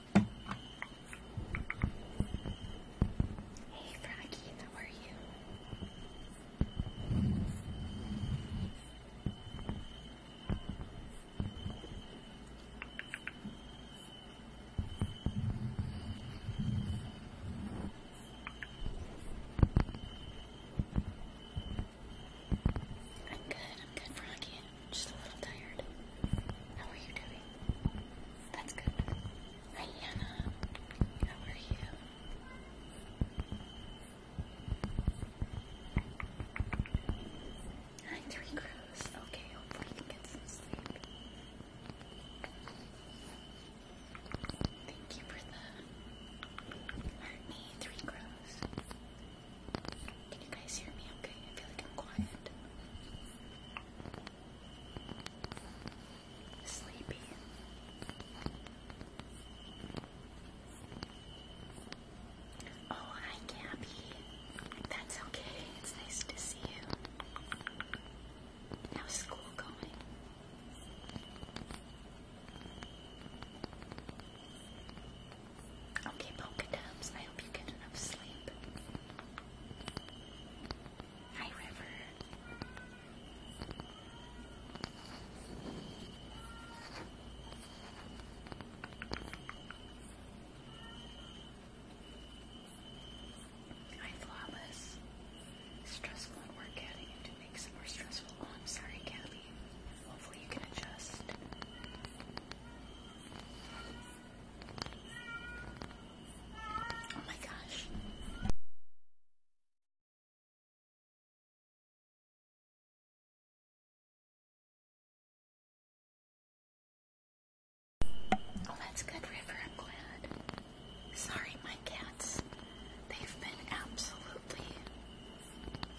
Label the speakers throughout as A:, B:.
A: Hey Froggy, how are you? I'm good, I'm good, Froggy. I'm just a little tired. How are you doing? That's good. Hi, How are you? Hi, Three Crows. Okay, hopefully you get some sleep. Thank you for the heart me, Three Crows. Can you guys hear me okay? I feel like I'm quiet. Sleepy. Oh, hi, Gabby. That's okay. It's nice to see you. How's school going? Okay, polka dubs. I hope you get enough sleep. Hi, River. Hi, Flawless. Stressful at work to make it more stressful. Oh, I'm sorry, Kathy. Hopefully you can adjust. Oh my gosh.
B: Oh, that's good, River. I'm glad.
A: Sorry, my cats. They've been absolutely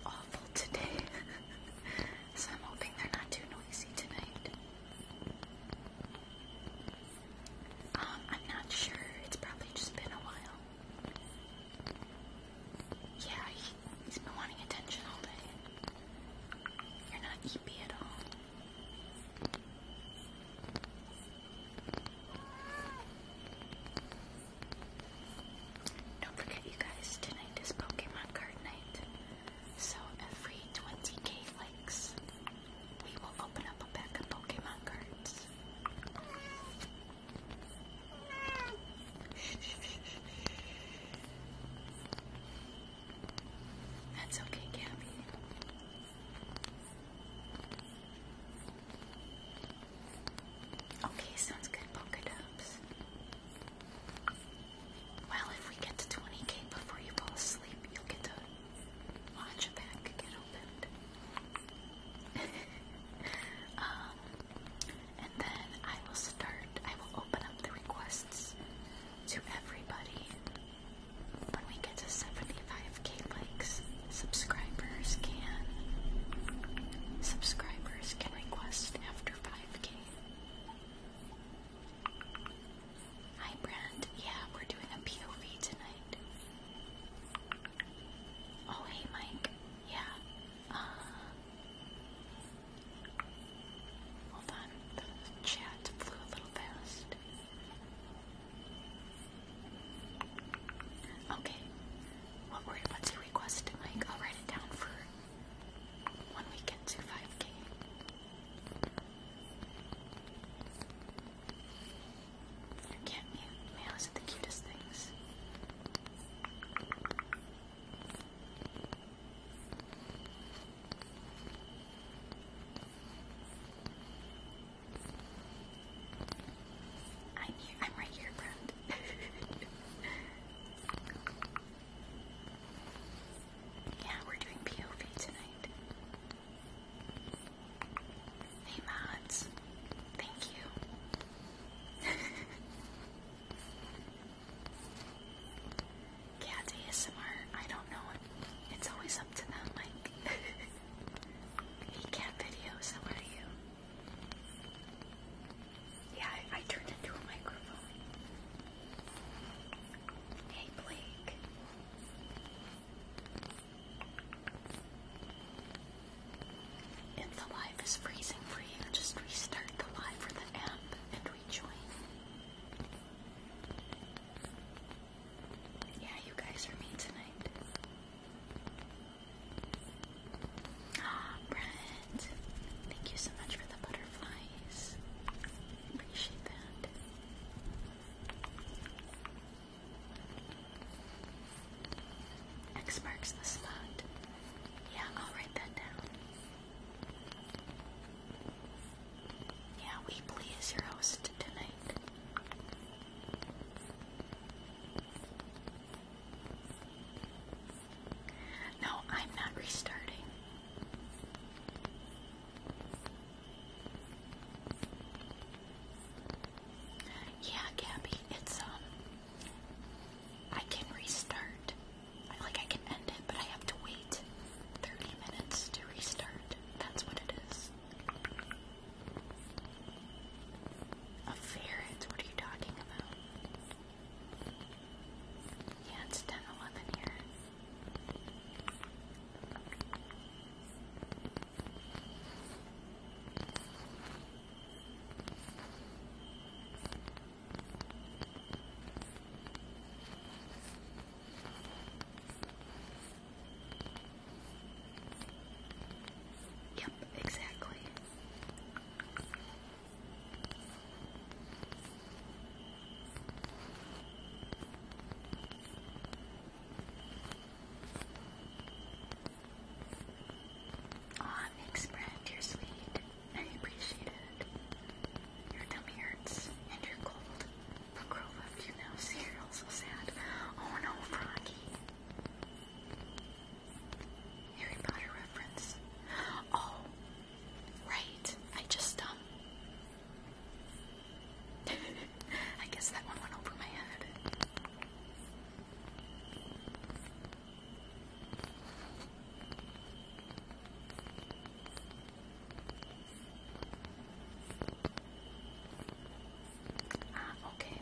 A: awful today. so I'm hoping they're not too noisy tonight. Um, I'm not sure. It's probably just been a while. Yeah, he, has been wanting attention all day. You're not eepy at all. Don't forget, you guys, tonight is Pokemon card night. So every 20k likes, we will open up a pack of Pokemon cards. That's okay, Gabby. Okay, sounds good, Polka Well, if we get to 20k before you fall asleep, you'll get to launch pack get opened. um, and then I will start, I will open up the requests to everybody when we get to 75k likes. Subscribers can subscribers can request after 5k. Hi, Brent. Yeah, we're doing a POV tonight. Oh, hey, Mike. Yeah. Uh, hold on. The chat flew a little fast. Okay. What word? What's your request, Mike? I'll write it down for when we to 5K. You can't mute males are the cutest things. I'm here. I'm right here, friend. yeah, we're doing POV tonight. Hey mods, thank you. Cats ASMR, I don't know. It's always up to them, like. hey cat videos, how are you? Yeah, I turned into a microphone. Hey Blake, if the live is freezing for you, just restart the live or the app and rejoin. Yeah, you guys are me tonight. Ah, Brent, thank you so much for the butterflies. Appreciate that. X marks the spot. Yeah, I'll write that down. Yeah, Weebly is your host tonight. No, I'm not restarting. Yeah, Gabby, it's um I can restart. like I can end it, but I have to wait 30 minutes to restart. That's what it is. A ferret, what are you talking about? Yeah, it's 10 here. Yep, exactly. Aw, Nick's you're sweet. I appreciate it. Your tummy hurts and you're cold. But grow left you now, so you're also sad. Oh no, Froggy. Harry Potter reference. Oh, right. I just, um, I guess that one went over my head. Ah, okay.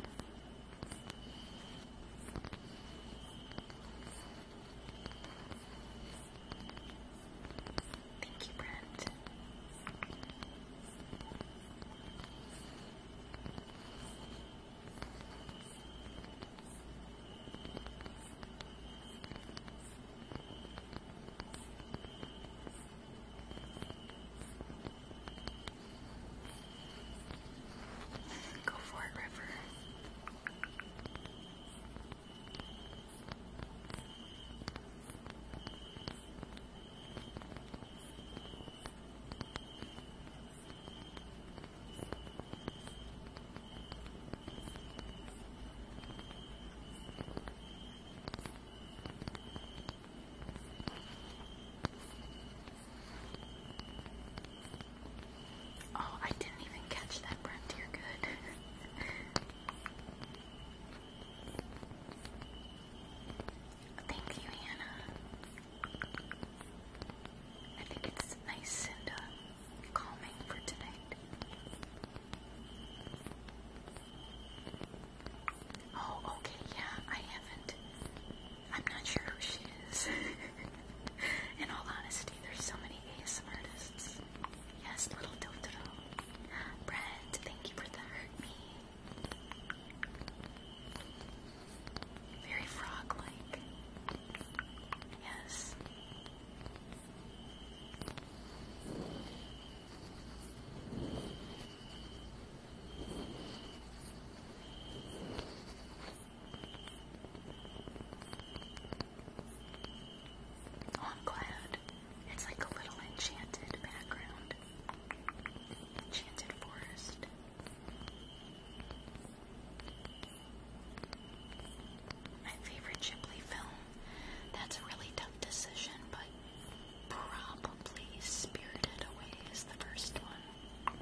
A: Thank you, Brent. Go for it, River. Oh, I didn't even catch that Frontier good. Thank you, Hannah. I think it's nice and uh, calming for tonight. Oh, okay, yeah, I haven't. I'm not sure who she is. In all honesty, there's so many ASM artists. Yes, little Totoro. Brent, thank you for the hurt me. Very frog like. Yes. Oh, I'm glad. It's like a little enchanted background. Enchanted forest. My favorite Ghibli film. That's a really tough decision, but probably Spirited Away is the first one.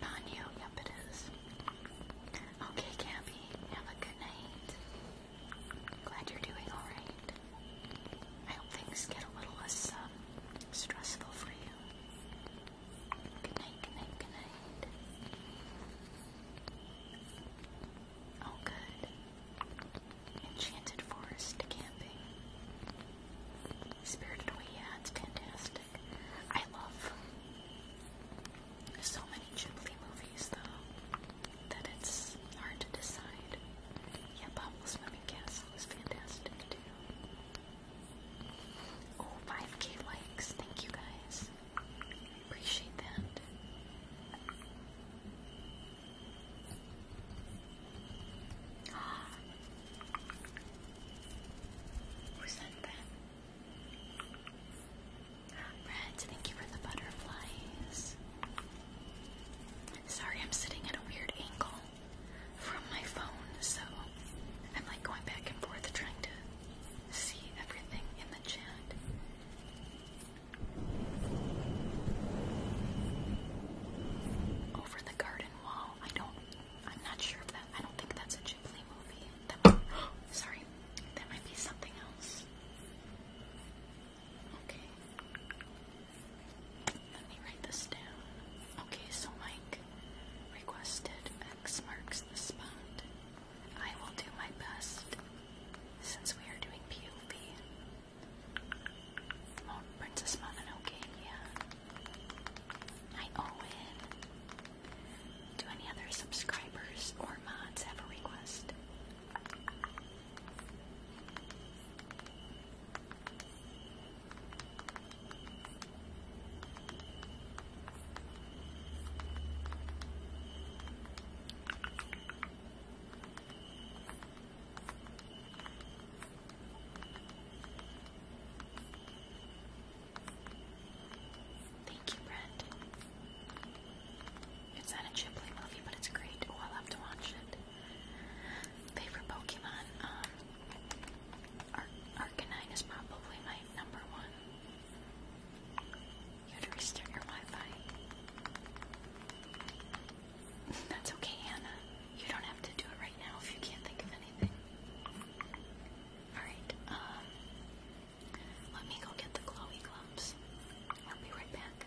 A: Ponyo, yep it is. Okay, Gabby, have a good night. Glad you're doing all right. I hope things get a little less um, stressful for you. Good night, good night, good night. Oh, good. Enchanted Forest Camping. Spirited Away, yeah, it's fantastic. I love so many Ghibli movies, though that it's hard to decide. Yeah, Bumble's Moving Castle is fantastic too. Oh, 5k likes. Thank you guys. appreciate that. Who sent that? Red, thank you for the butterflies. Sorry, I'm sitting at a weird angle from my phone, so I'm like going back and forth trying to see everything in the chat. Over the garden wall. I don't. I'm not sure if that. I don't think that's a Ghibli movie. That might, sorry, that might be something else. Okay. Let me write this down. Okay, so Mike requested X marks the spot. I will do my best since we are doing POV. Mon Princess Mononoke, yeah. I owe in. Do any other subscribers or mods have a request? Thank you, Brent. It's not a Ghibli movie, but it's great. Oh, I love to watch it. Favorite Pokemon? Um, Arcanine is probably my number one. You had to restart your Wi-Fi. That's okay, Hannah. You don't have to do it right now if you can't think of anything. Alright, um, let me go get the Chloe gloves. I'll be right back.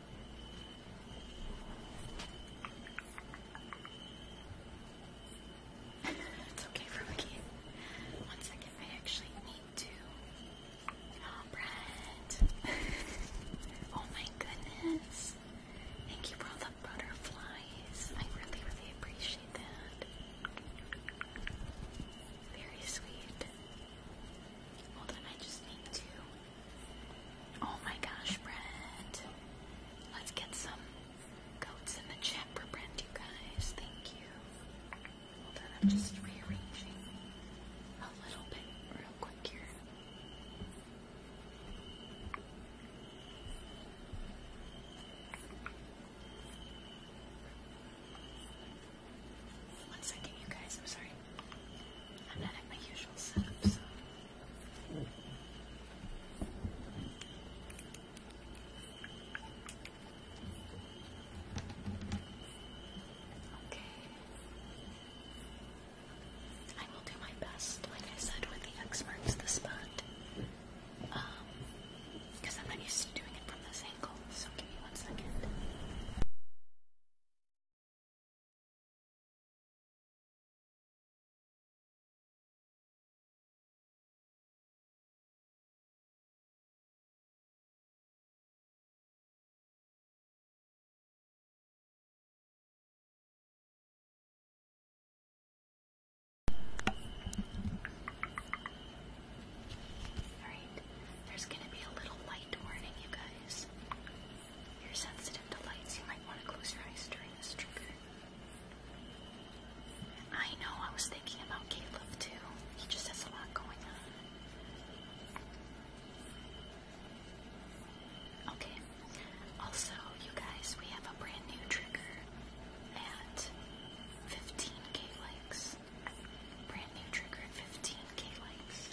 A: it's okay for McKean. One second, I actually need to. Oh, ah, Brett. oh my goodness. Thank you for all the butterflies. I really, really appreciate that. Very sweet. Hold on, I just need to Oh my gosh, Brent. Let's get some goats in the chat for Brent, you guys. Thank you. Hold on, I'm just rearranging a little bit real quick here. One second, you guys. I'm sorry. I'm not at my usual setup, so. Okay. I will do my best, like I said, with the X marks the Um, because I'm not used to doing it from this angle, so give me one second. Alright, there's going to be a little light warning, you guys. You're sensitive to lights. You might want to close your eyes during this trigger. I know, I was thinking about Caleb too. He just has a lot going on. Okay. Also, you guys, we have a brand new trigger at 15k likes. Brand new trigger 15k likes.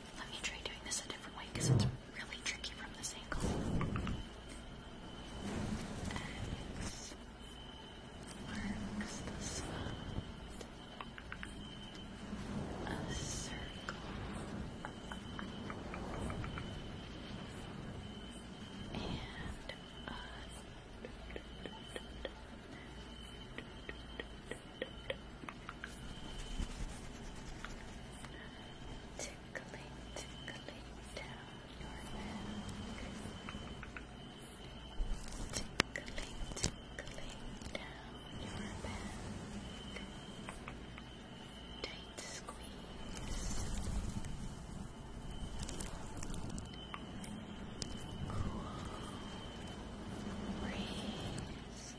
A: Let me try doing this a different way because it's really tricky from this angle. A circle. And a Tickling, tickling down your back. Tickling, tickling down your back. Tight squeeze. Cool breeze.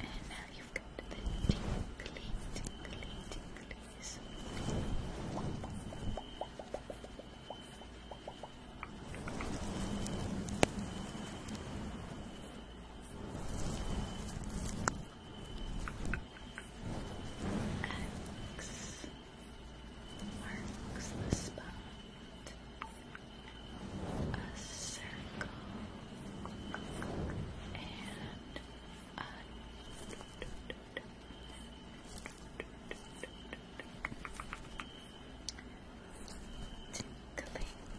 A: And now you've got the tingly, tingly, tinglies. Alex marks the spot a circle and a tinkling,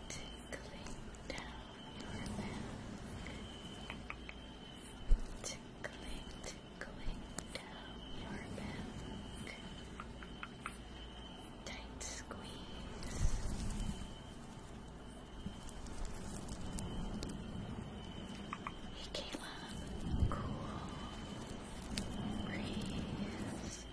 A: tinkling down your back tinkling, going down your back. Tight squeeze. Hey Caleb, cool breeze.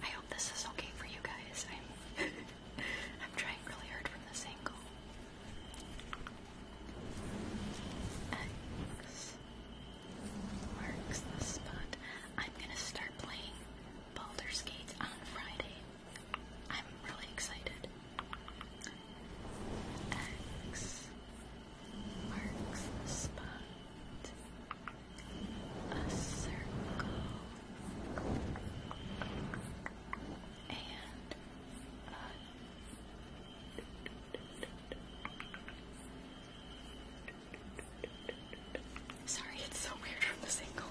A: I hope this is okay for you guys. I'm I'm trying really hard from this angle. X the spot. I'm gonna start playing Baldur's Gate on Friday. I'm really excited. X marks A circle and a Sorry, it's so weird from this angle.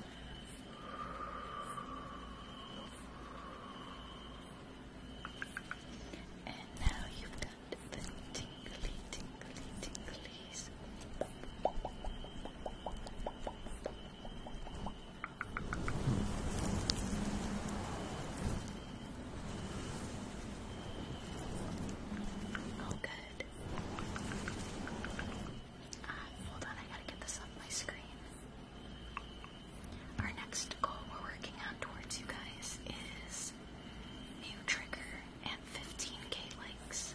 A: And now you've got the tingly, tingly, tinglies. Oh, good. Uh, hold on, I gotta get this on my screen. Our next goal we're working on towards you guys is new trigger and 15k likes.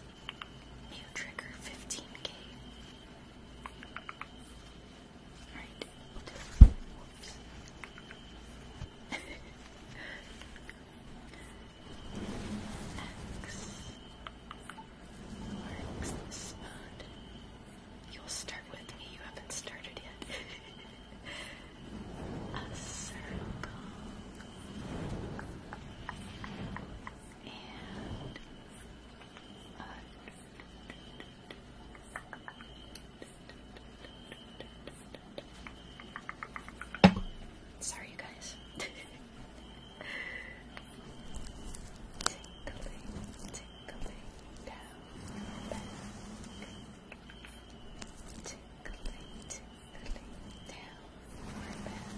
A: New trigger 15k. Alright, X marks the spot. You'll start with me, you haven't started yet. A circle. And a Sorry, you guys. Tinkling, tinkling down your back. Tinkling, tinkling down your back.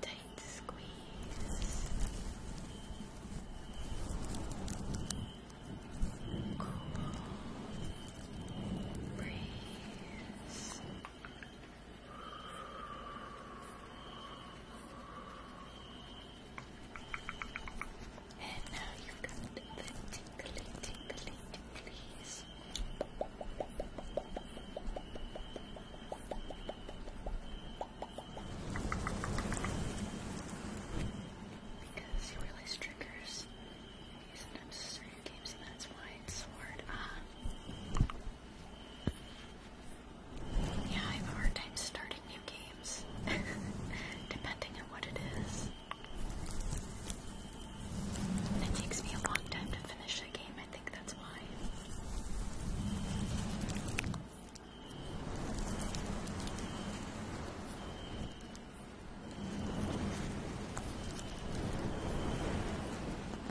A: Tight squeeze. Cool breeze. And now you got the tingly, tingly, tinglies. Because you realize triggers isn't it certain games and that's why it's hard. Uh, yeah, I have a hard time starting new games, depending on what it is. it takes me a long time to finish a game, I think that's why.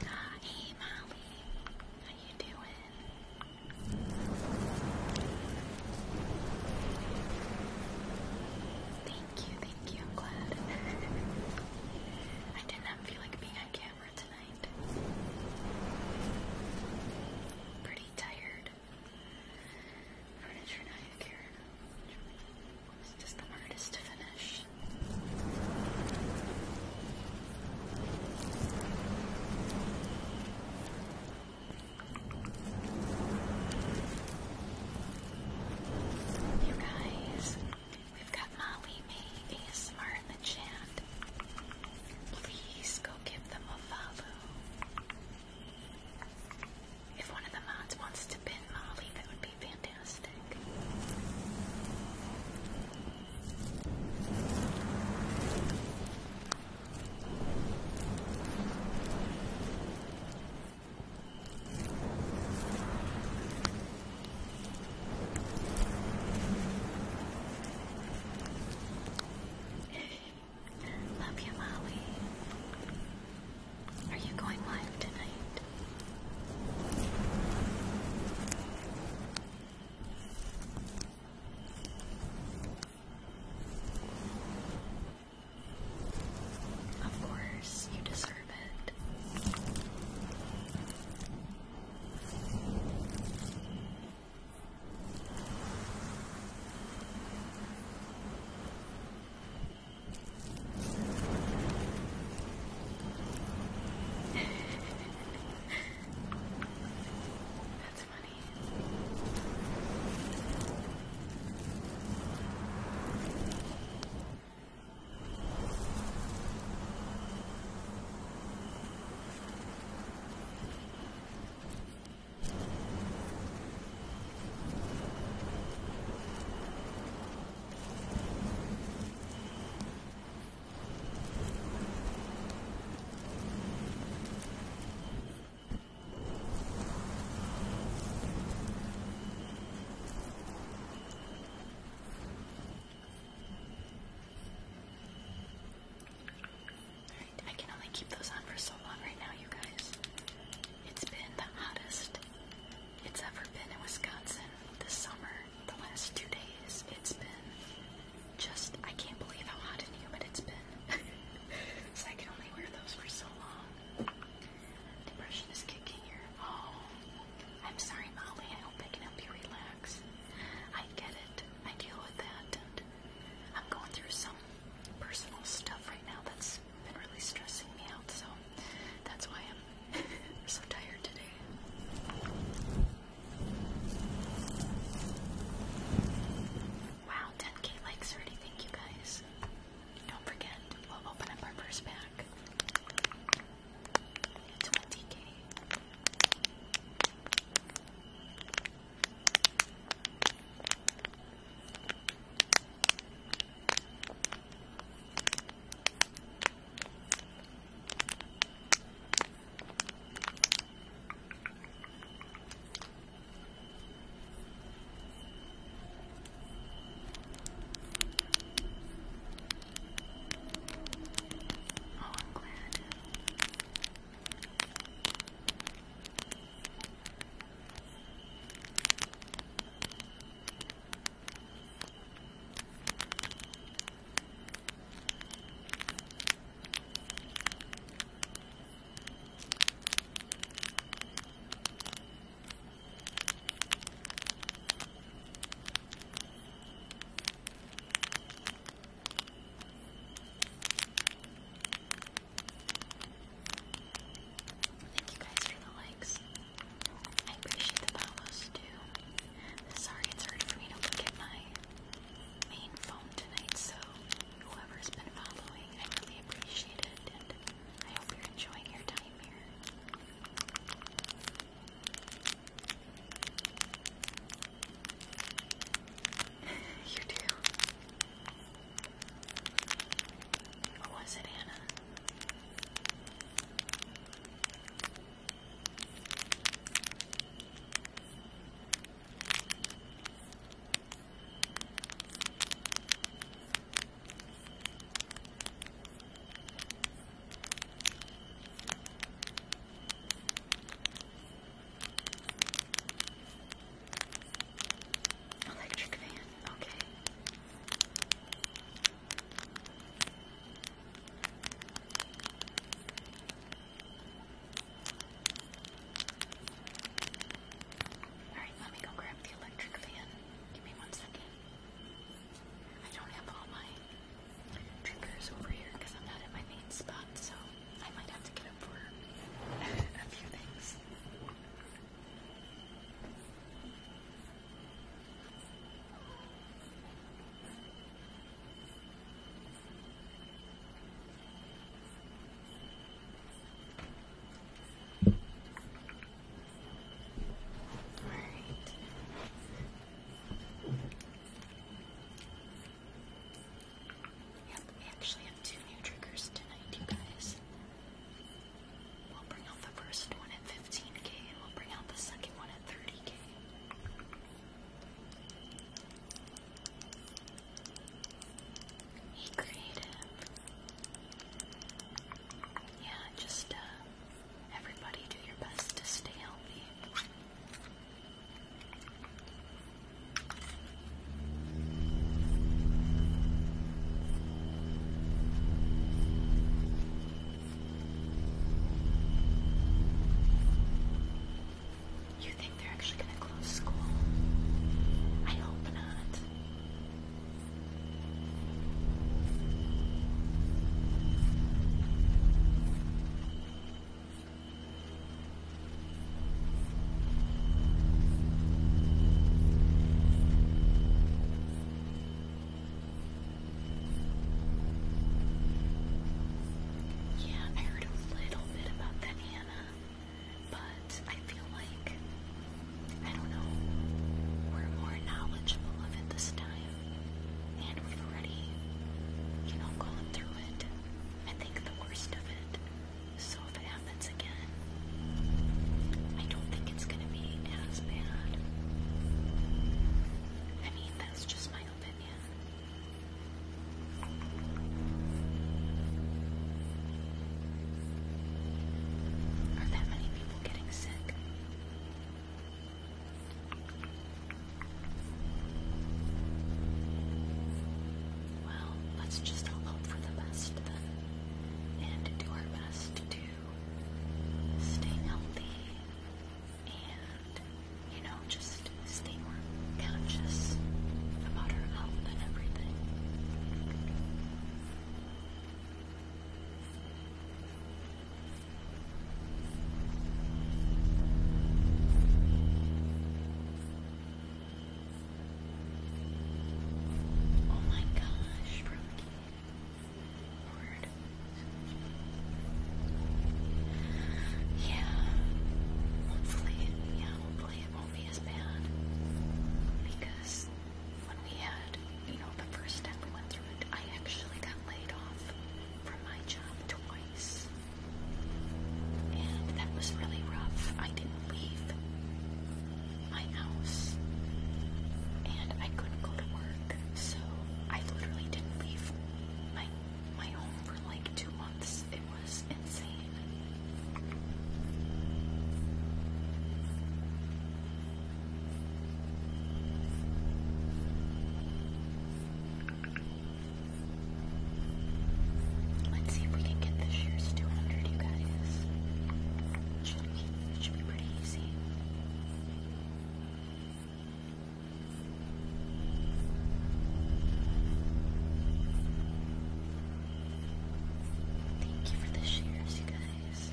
A: Hey Molly, how you doing? Thank you, thank you, I'm glad. I did not feel like being on camera tonight. Pretty tired. Furniture not here. It's just the hardest to finish. You guys, we've got Molly May ASMR in the chat. Please go give them a follow. If one of the mods wants to pin Molly, that would be fantastic. Love you, Molly. Are you going live tonight? Of course, you deserve it. That's funny. I can only keep those on for so long right now, you guys. It's been the hottest it's ever been in Wisconsin this summer, the last two days. It's been just, I can't believe how hot and humid it's been. so I can only wear those for so long. Depression is kicking here. Oh, I'm sorry, Molly. I hope I can help you relax. I get it. I deal with that. I'm going through some personal stuff right now that's been really stressing me out. So that's why I'm so tired today. Wow, 10k likes already. Thank you guys. Don't forget, we'll open up our first pack. 20k. Oh, I'm glad. Thank you guys for the likes. I appreciate the follows too. Sorry it's hard to look at my main phone tonight, so whoever's been following, I really appreciate it, and I hope you're enjoying your time here. you do. was it Anna? Electric fan, okay. Alright, let me go grab the electric fan. Give me one second. I don't have all my triggers over here because I'm not in my main spot, so I might have to get up for a few things. All right. Yep, we actually have two new triggers tonight, you guys. We'll bring out the first one at 15k and we'll bring out the second one at 30k. Be creative. Yeah, just uh, everybody do your best to stay healthy. You think they're actually going to close school? I hope not. Yeah, I heard a little bit about that, Hannah, but I feel like, I don't know, we're more knowledgeable of it this time, and we've already, you know, gone through it. I think the worst of it. So if it happens again, I don't think it's gonna be as bad. I mean, that's just my opinion. Are that many people getting sick? Well, let's just hope for the best and do our best to stay healthy and you know, just stay conscious about her health and everything. Oh my gosh, Brookie. Yeah. Hopefully, yeah, hopefully it won't be as bad. Because when we had, you know, the first step we went through it, I actually got laid off from my job twice. And that was really rough. I didn't leave my house. And I couldn't go to work so I literally didn't leave my my home for like two months. It was insane. Let's see if we can get the shoes to you guys. Should be, it should be pretty easy.
B: Thank you for this shares, you guys.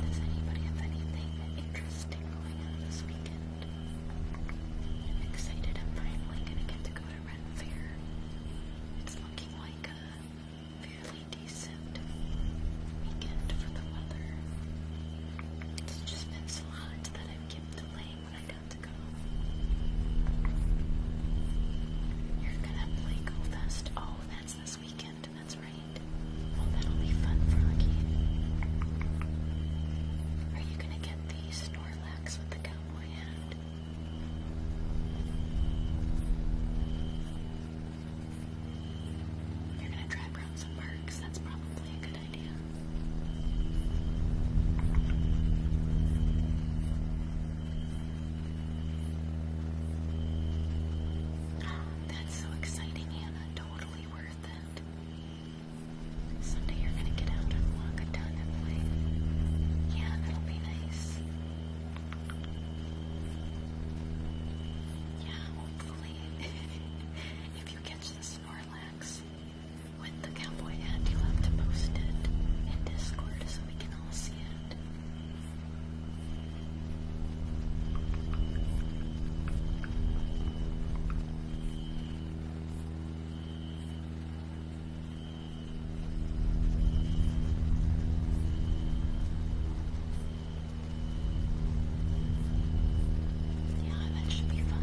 B: Does anybody have anything interesting going on this weekend? excited. I'm
A: finally going to get to go to Red Fair. It's looking like a fairly decent weekend for the weather. It's just been slides that i kept delaying when I got to go. You're gonna play Go Oh, that's this weekend, that's right. Well, oh, that'll be fun, Froggy. Are you gonna get the Snorlax with the cowboy hat? You're gonna drive around some parks, that's probably a good idea. that's so exciting, Hannah. Totally worth it. Someday you're gonna get out and walk a ton and play. Yeah, that'll be nice. Yeah, hopefully. If you catch the Snorlax with the cowboy hat, you have to post it in Discord so we can all see it. Yeah, that should be fun.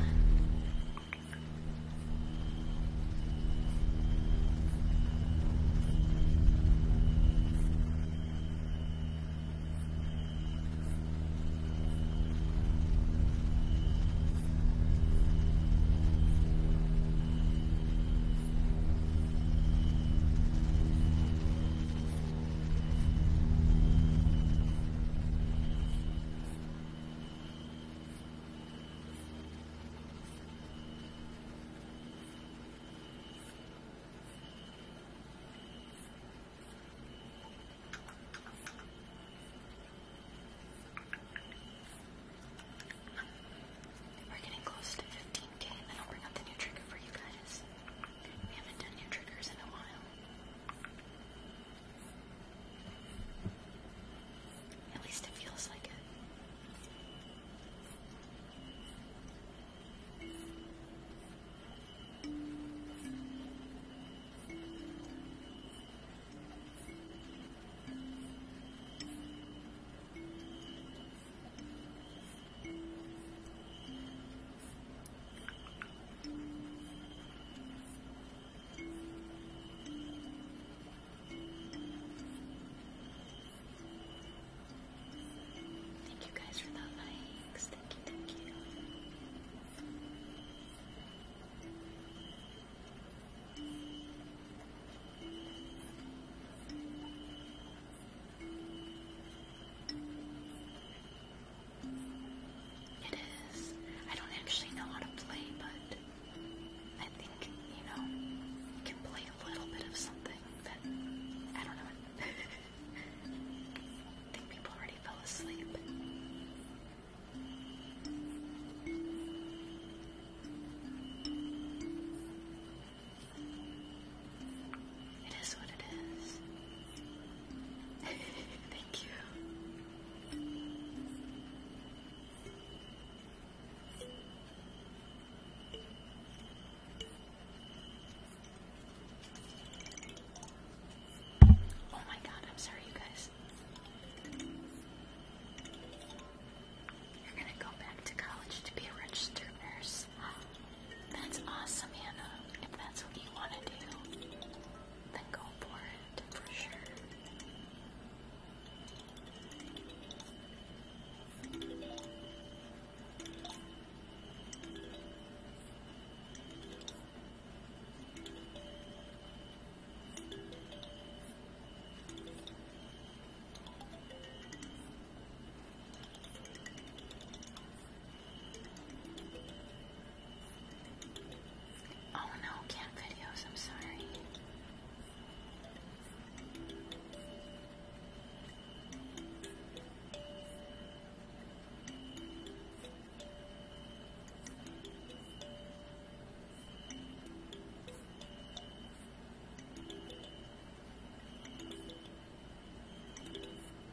A: We're getting close to 15k, and then I'll bring up the new trigger for you guys. We haven't done new triggers in a while. At least it feels like it. Thank you guys for the likes. Thank you, thank you. It is. I don't actually know how to play, but I think, you know, you can play a little bit of something that, I don't know. I think people already fell asleep. It is what it is. Thank you. Oh my god, I'm sorry, you guys. You're gonna go back to college to be a registered nurse. That's awesome, Hannah. If that's what you want to do, then go for it, for sure. Oh no, can't videos, I'm sorry.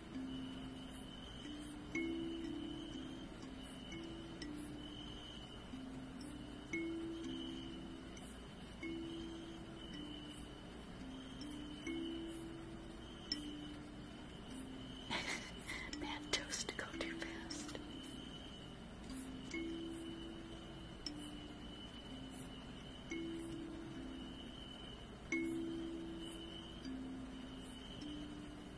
A: Bad toast to go too fast.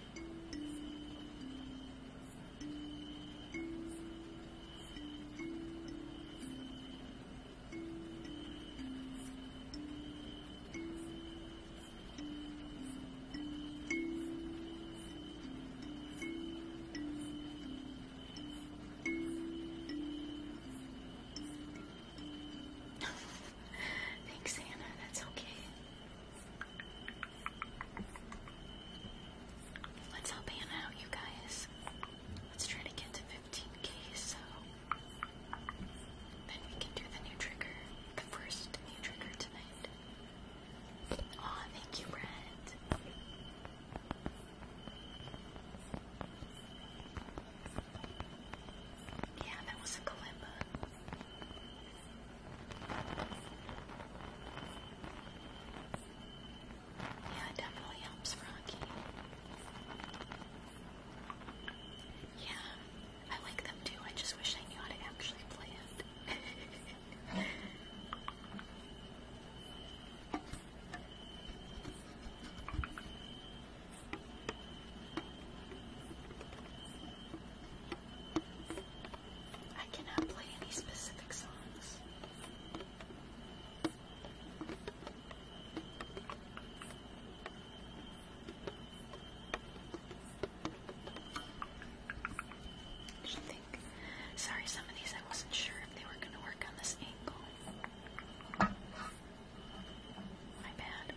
A: Thanks, Anna. That's okay. Let's help Hannah out, you guys. Let's try to get to 15k so then we can do the new trigger, the first new trigger tonight. Aw, thank you, Brett. Yeah, that was a Kalimba. Yeah, it definitely helps Rocky. Yeah, I like them too. I just wish I knew how to actually play it. I cannot play any specific songs. Sorry, some of these I wasn't sure if they were going to work on this angle. My bad.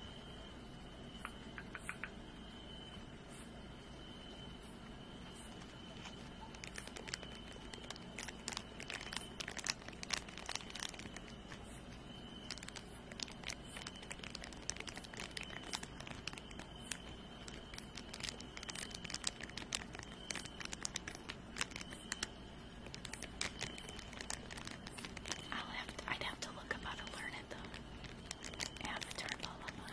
A: I'll have to, I'd have to look up how to learn it though. After lullaby.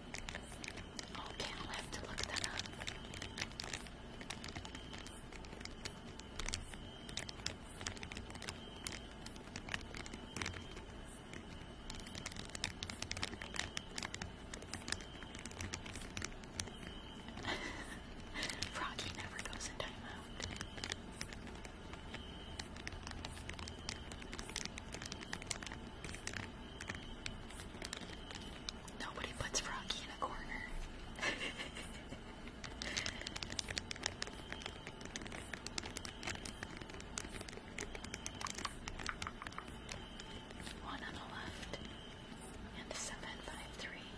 A: Okay, I'll have to look that up. Froggy never goes in timeout. Nobody puts Froggy in a corner. One on the left and seven five three.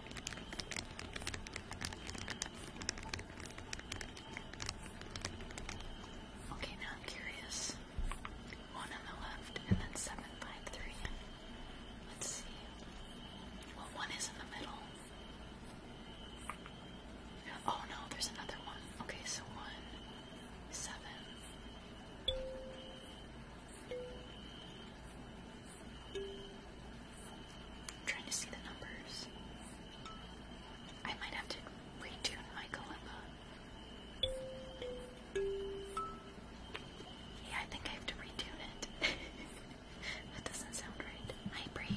A: Okay, now I'm curious. One on the left, and then seven let Let's see. Well, one is in the middle. Oh no, there's another one. Okay, so one, 7 trying to see the numbers. I might have to retune my kalimba yeah, I think I have to retune it. that doesn't sound right. Hi, Brady.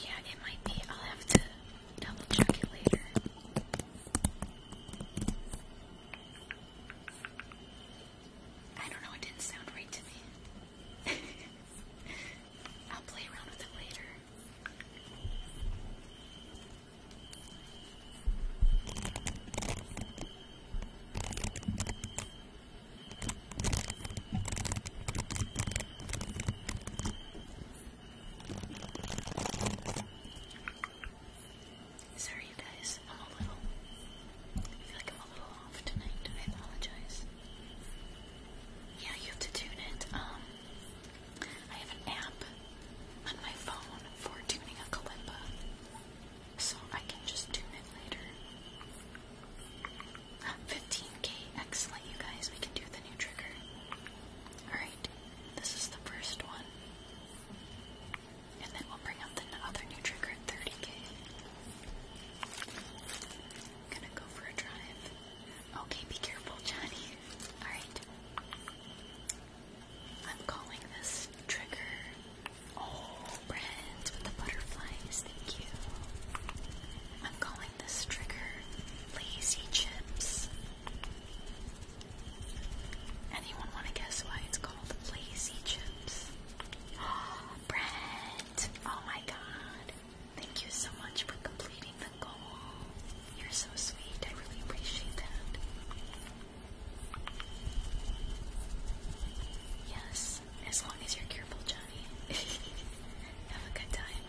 A: Yeah, it might be. I'll have to double check it later. I don't know, it didn't sound right to me. I'll play around with it later. Sorry, you guys, I'm a little I feel like I'm a little off tonight. I apologize. Yeah, you have to tune it. Um, I have an app on my phone for tuning a kalimba, so I can just tune it later. 15k, ah, excellent, you guys. We can do the new trigger. Alright, this is the first one. And then we'll bring up the other new trigger 30k gonna go for a drive. Okay, be careful, Johnny. Alright. I'm calling this trigger. Oh, Brent with the butterflies, thank you. I'm calling this trigger Lazy Chips. Anyone want to guess why it's called Lazy Chips? Oh, Brent! Oh my god. Thank you so much for completing the goal. You're so sweet. I really appreciate that. Yes, as long as you're careful, Johnny. Have a good time.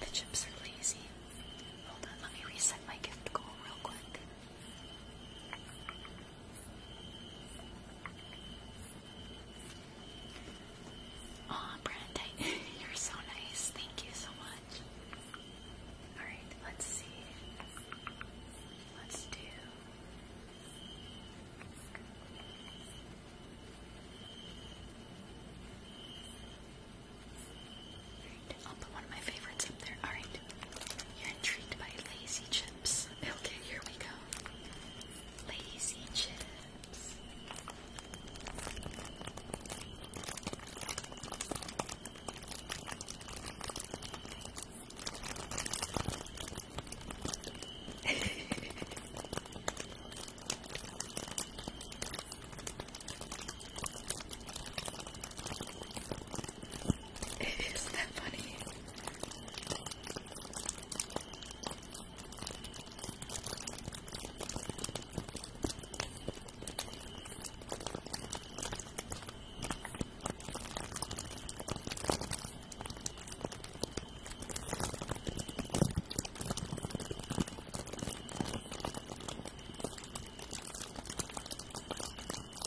A: The chips are lazy. Hold on, let me reset my gift goal real quick. Aw, Brandon, you're so nice. Thank you so much. Alright, let's see. Let's do. Alright, I'll put one of my favorites up there. Alright. You're intrigued by lazy chips. Okay, here we go. Lazy chips. It is that funny. Oh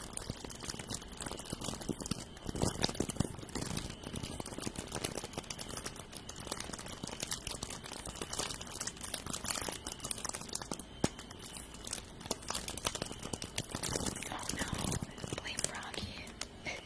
A: no, blame Rocky.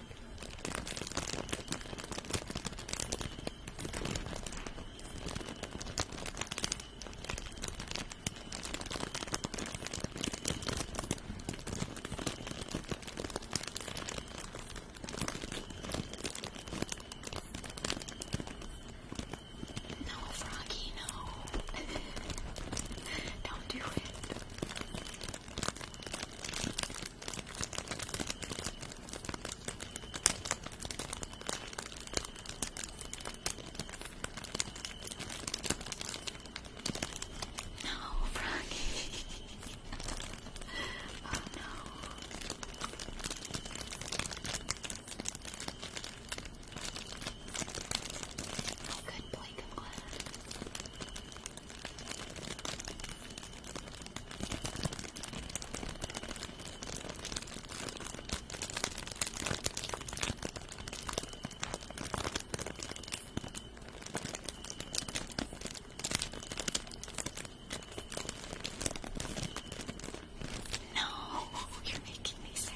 A: No, Froggy, no. Don't do it. No, Froggy. oh no. I could play I'm glad. No, you're making me sad.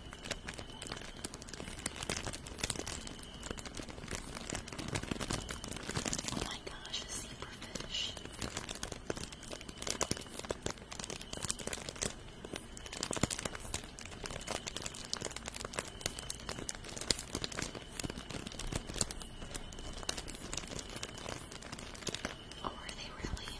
A: Oh my gosh, a zebrafish. Oh, are they really?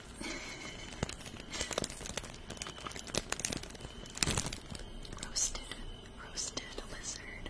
A: roasted, roasted lizard.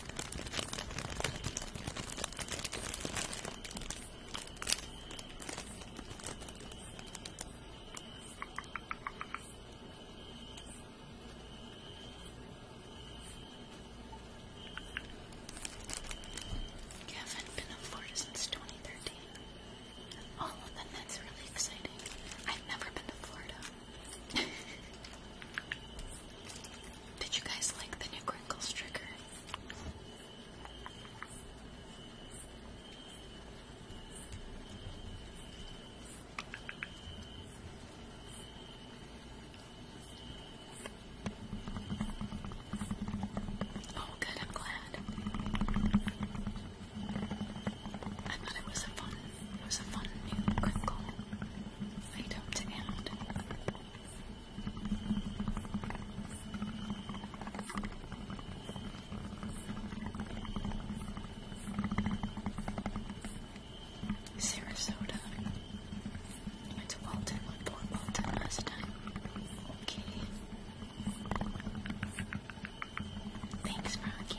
A: You haven't been to Florida since 2013. Oh, then that's really exciting. I've never been to Florida. Did you guys like the new Crinkles trigger? Oh, good, I'm glad. I thought it was a fun, it was a fun new crinkle item to add. Sarasota. I went to Walton, went to Walton last time. Okay. Thanks, Rocky.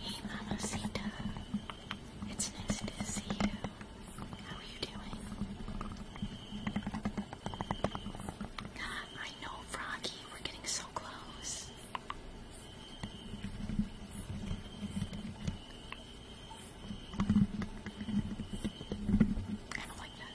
A: Hey, Mamacita. It's nice to see you. How are you doing? I know, Froggy. We're getting so close. I don't like that.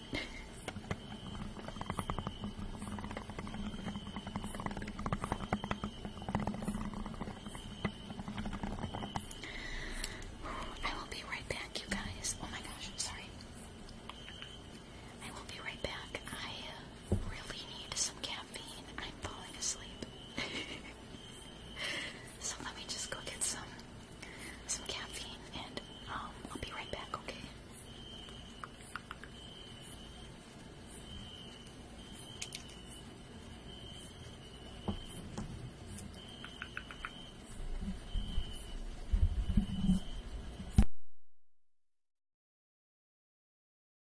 A: I will be right back, you guys. Oh my gosh, sorry. I will be right back. I really need some caffeine. I'm falling asleep. so let me just go get some some caffeine and um, I'll be right back, okay?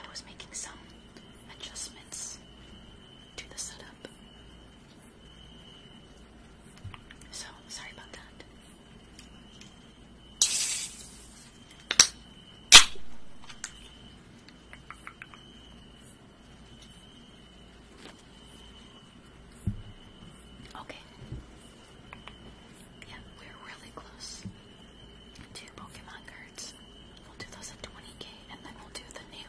B: I was making some adjustments to the setup. So, sorry about that.
A: Okay. Yeah, we're really close. Two Pokemon cards. We'll do those at 20k, and then we'll do the new,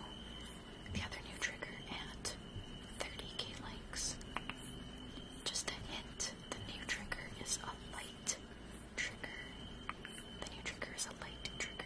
A: the other new trigger at 30k likes. Just a hint: the new trigger is a light trigger. The new trigger is a light trigger.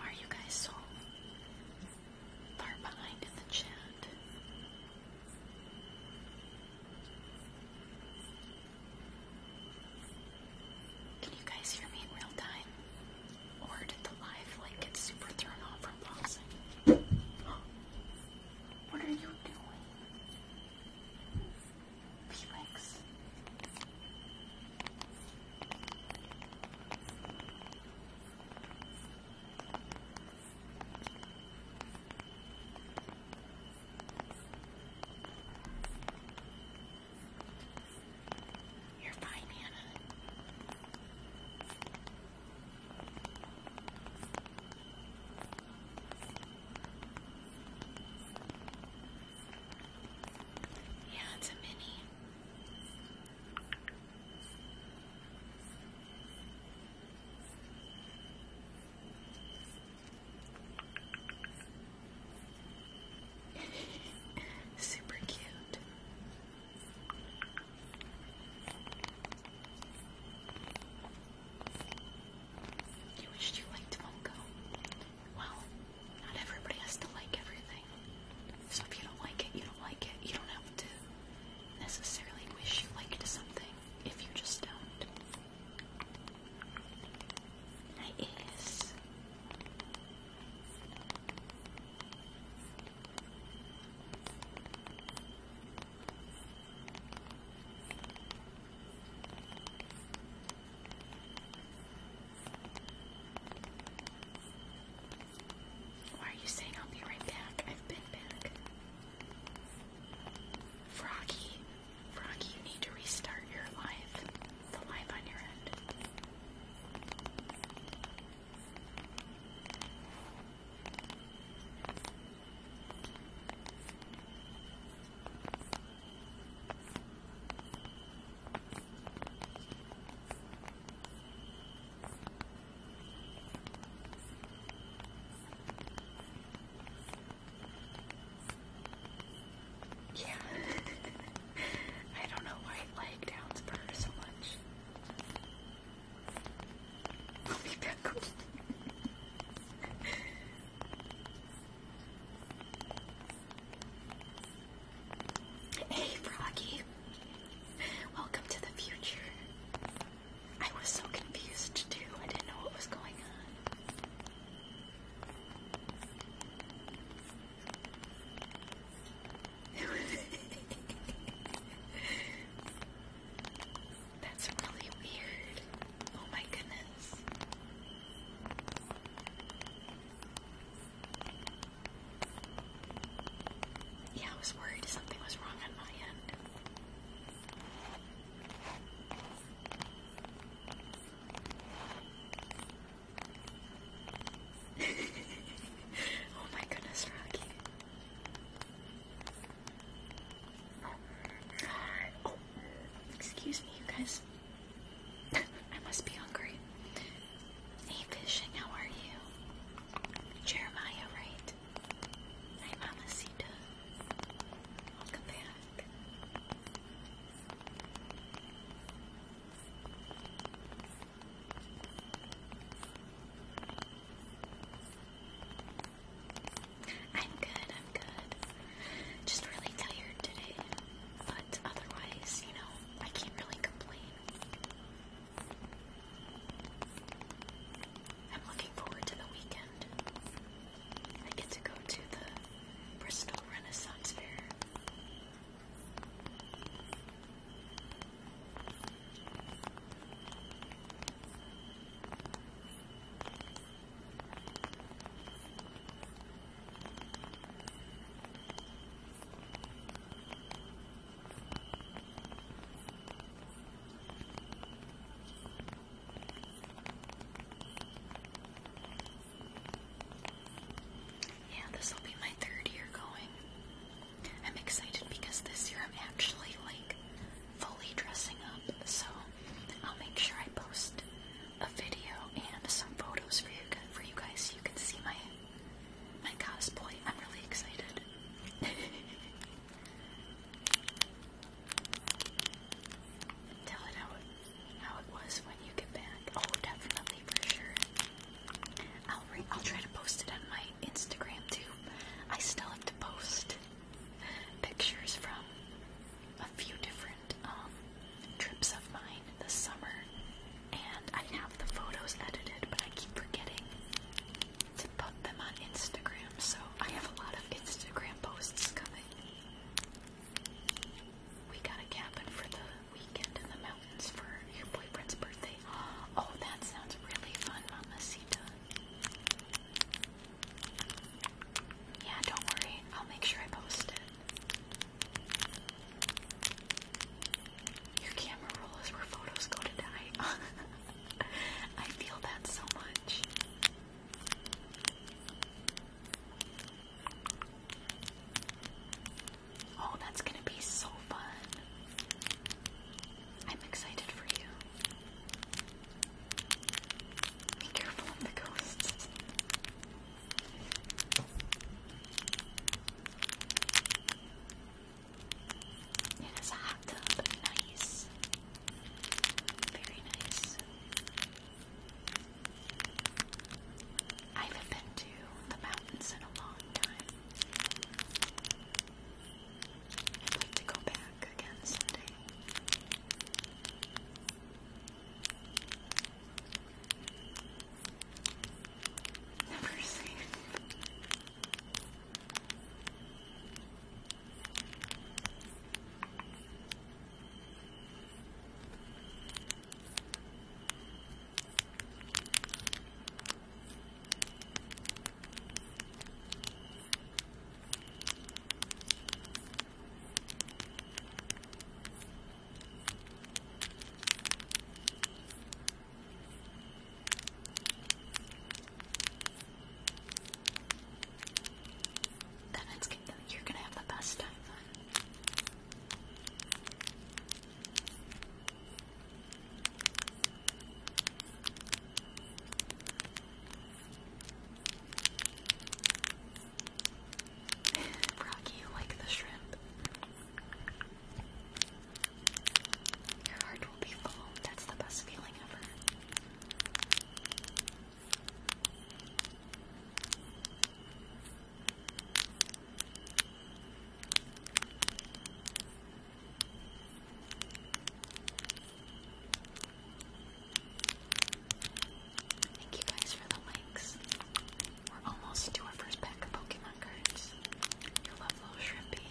B: are you guys so far behind in the chat? Can you guys hear me in real time? Or did the live like get super thrown off from pausing?
A: What are you doing? Felix. You're fine, Hannah. Yeah, it's a mini. Super cute. You wished you liked Funko well, not everybody has to like everything. So if you don't like it, you don't like it. You don't have to necessarily wish you liked something if you just don't. Hi, Ace. Why are you saying I'll be right back? I've been back. Froggy, Froggy, you need to restart your live, the live on your end. Yeah. I don't know why it lagged down so much. I'll be back. Hey, Froggy. Welcome to the future. I was so confused too. I didn't know what was going on. That's really weird. Oh my goodness. Yeah, I was worried something was wrong on my end. oh my goodness, Rocky. Oh, excuse me, you guys. I must be hungry. Hey, fishing, how are you? Jeremiah, right? Hi, Mama Sita. Welcome back. I'm good, I'm good. Just really tired today. But otherwise, you know, I can't really complain. I'm looking forward to the weekend. I get to go to the Bristol Renaissance Fair. Yeah, this will be my third year going. I'm excited because this year I'm actually like fully dressing up, so I'll make sure I post a video and some photos for you for you guys so you can see my my cosplay. I'm really excited. Tell it how it was when you get back. Oh, definitely for sure. I'll try to post it on my Instagram too. I still have to post pictures from a few different um, trips of mine in the summer, and I have the photos edited, but I keep forgetting to put them on Instagram, so I have a lot of Instagram posts coming. We got a cabin for the weekend in the mountains for your boyfriend's birthday. Oh, that sounds really fun, Mamacita. Yeah, don't worry. I'll make sure I post it. Your camera roll is where photos go to die. I feel that so much. Oh, that's gonna be so fun. I'm excited for you. Be careful the ghosts. It is hot though, nice. Very nice. I haven't been to the mountains in a long time. I'd like to go back again someday. Never seen. Then it's going you're gonna have the best time then. Rocky, like the shrimp. Your heart will be full. That's the best feeling ever. Thank you guys for the likes. We're almost to our first pack of Pokemon cards. you love little Shrimpy.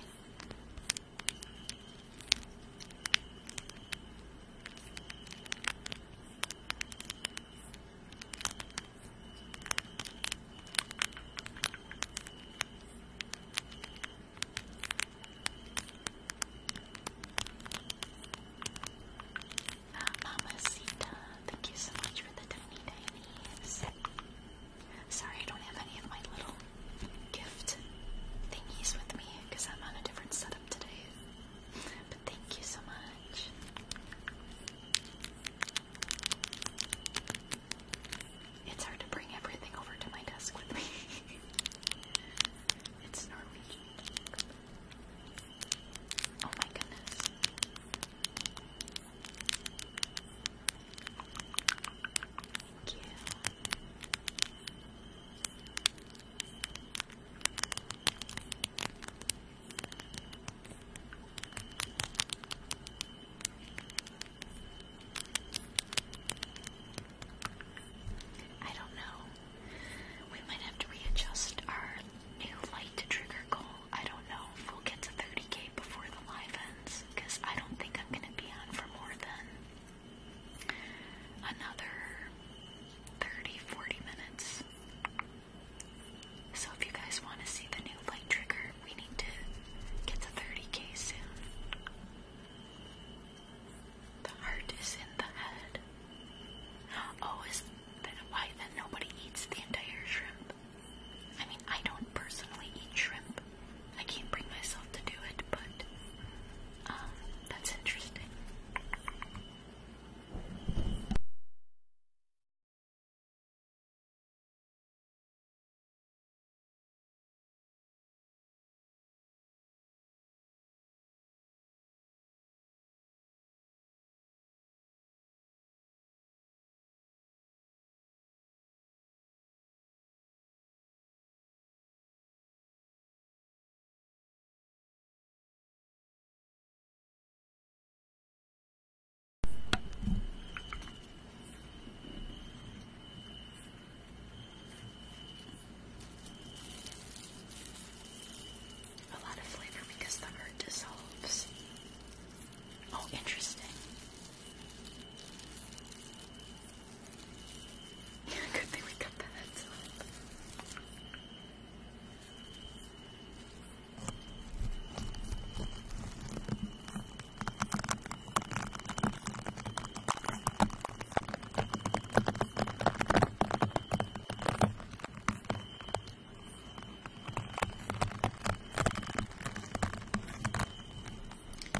A: Not Mamacita. Thank you so much for the tiny, tiny set. Sorry, I don't have any of my little gift thingies with me because I'm on a different setup today. But thank you so much. It's hard to bring everything over to my desk with me. it's Norwegian. Oh my goodness. Thank you. I don't know. We might have to readjust our new light to trigger goal I don't know if we'll get to 30k before the live ends, because I don't think I'm gonna be on for more than another 30 40 minutes. So, if you guys want to see the new light trigger, we need to get to 30k soon. The heart is in the head. Oh, is that why then nobody eats the entire shrimp? I mean, I don't personally eat shrimp. I can't bring myself to do it, but um, that's interesting. A lot of flavor because the hurt dissolves. Oh, interesting. Good thing we got the heads up.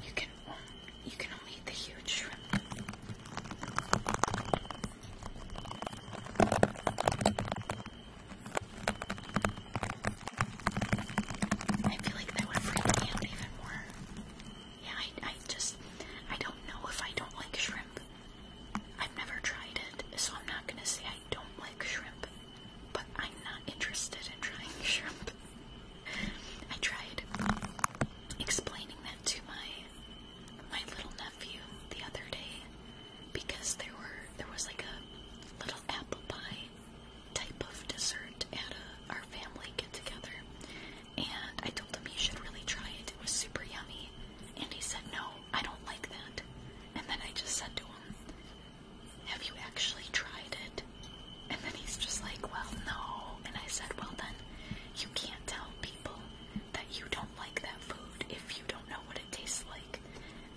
A: You can you can only eat the huge shrimp. I feel like that would freak me out even more. Yeah, I, I just, I don't know if I don't like shrimp. I've never tried it, so I'm not gonna say don't like shrimp, but I'm not interested in trying shrimp. I tried explaining that to my my little nephew the other day because there were there was like a little apple pie type of dessert at our family get together, and I told him he should really try it. It was super yummy, and he said no, I don't like that. And then I just said to him, have you actually tried it? And then he's just like, well, no. And I said, well, then you can't tell people that you don't like that food if you don't know what it tastes like.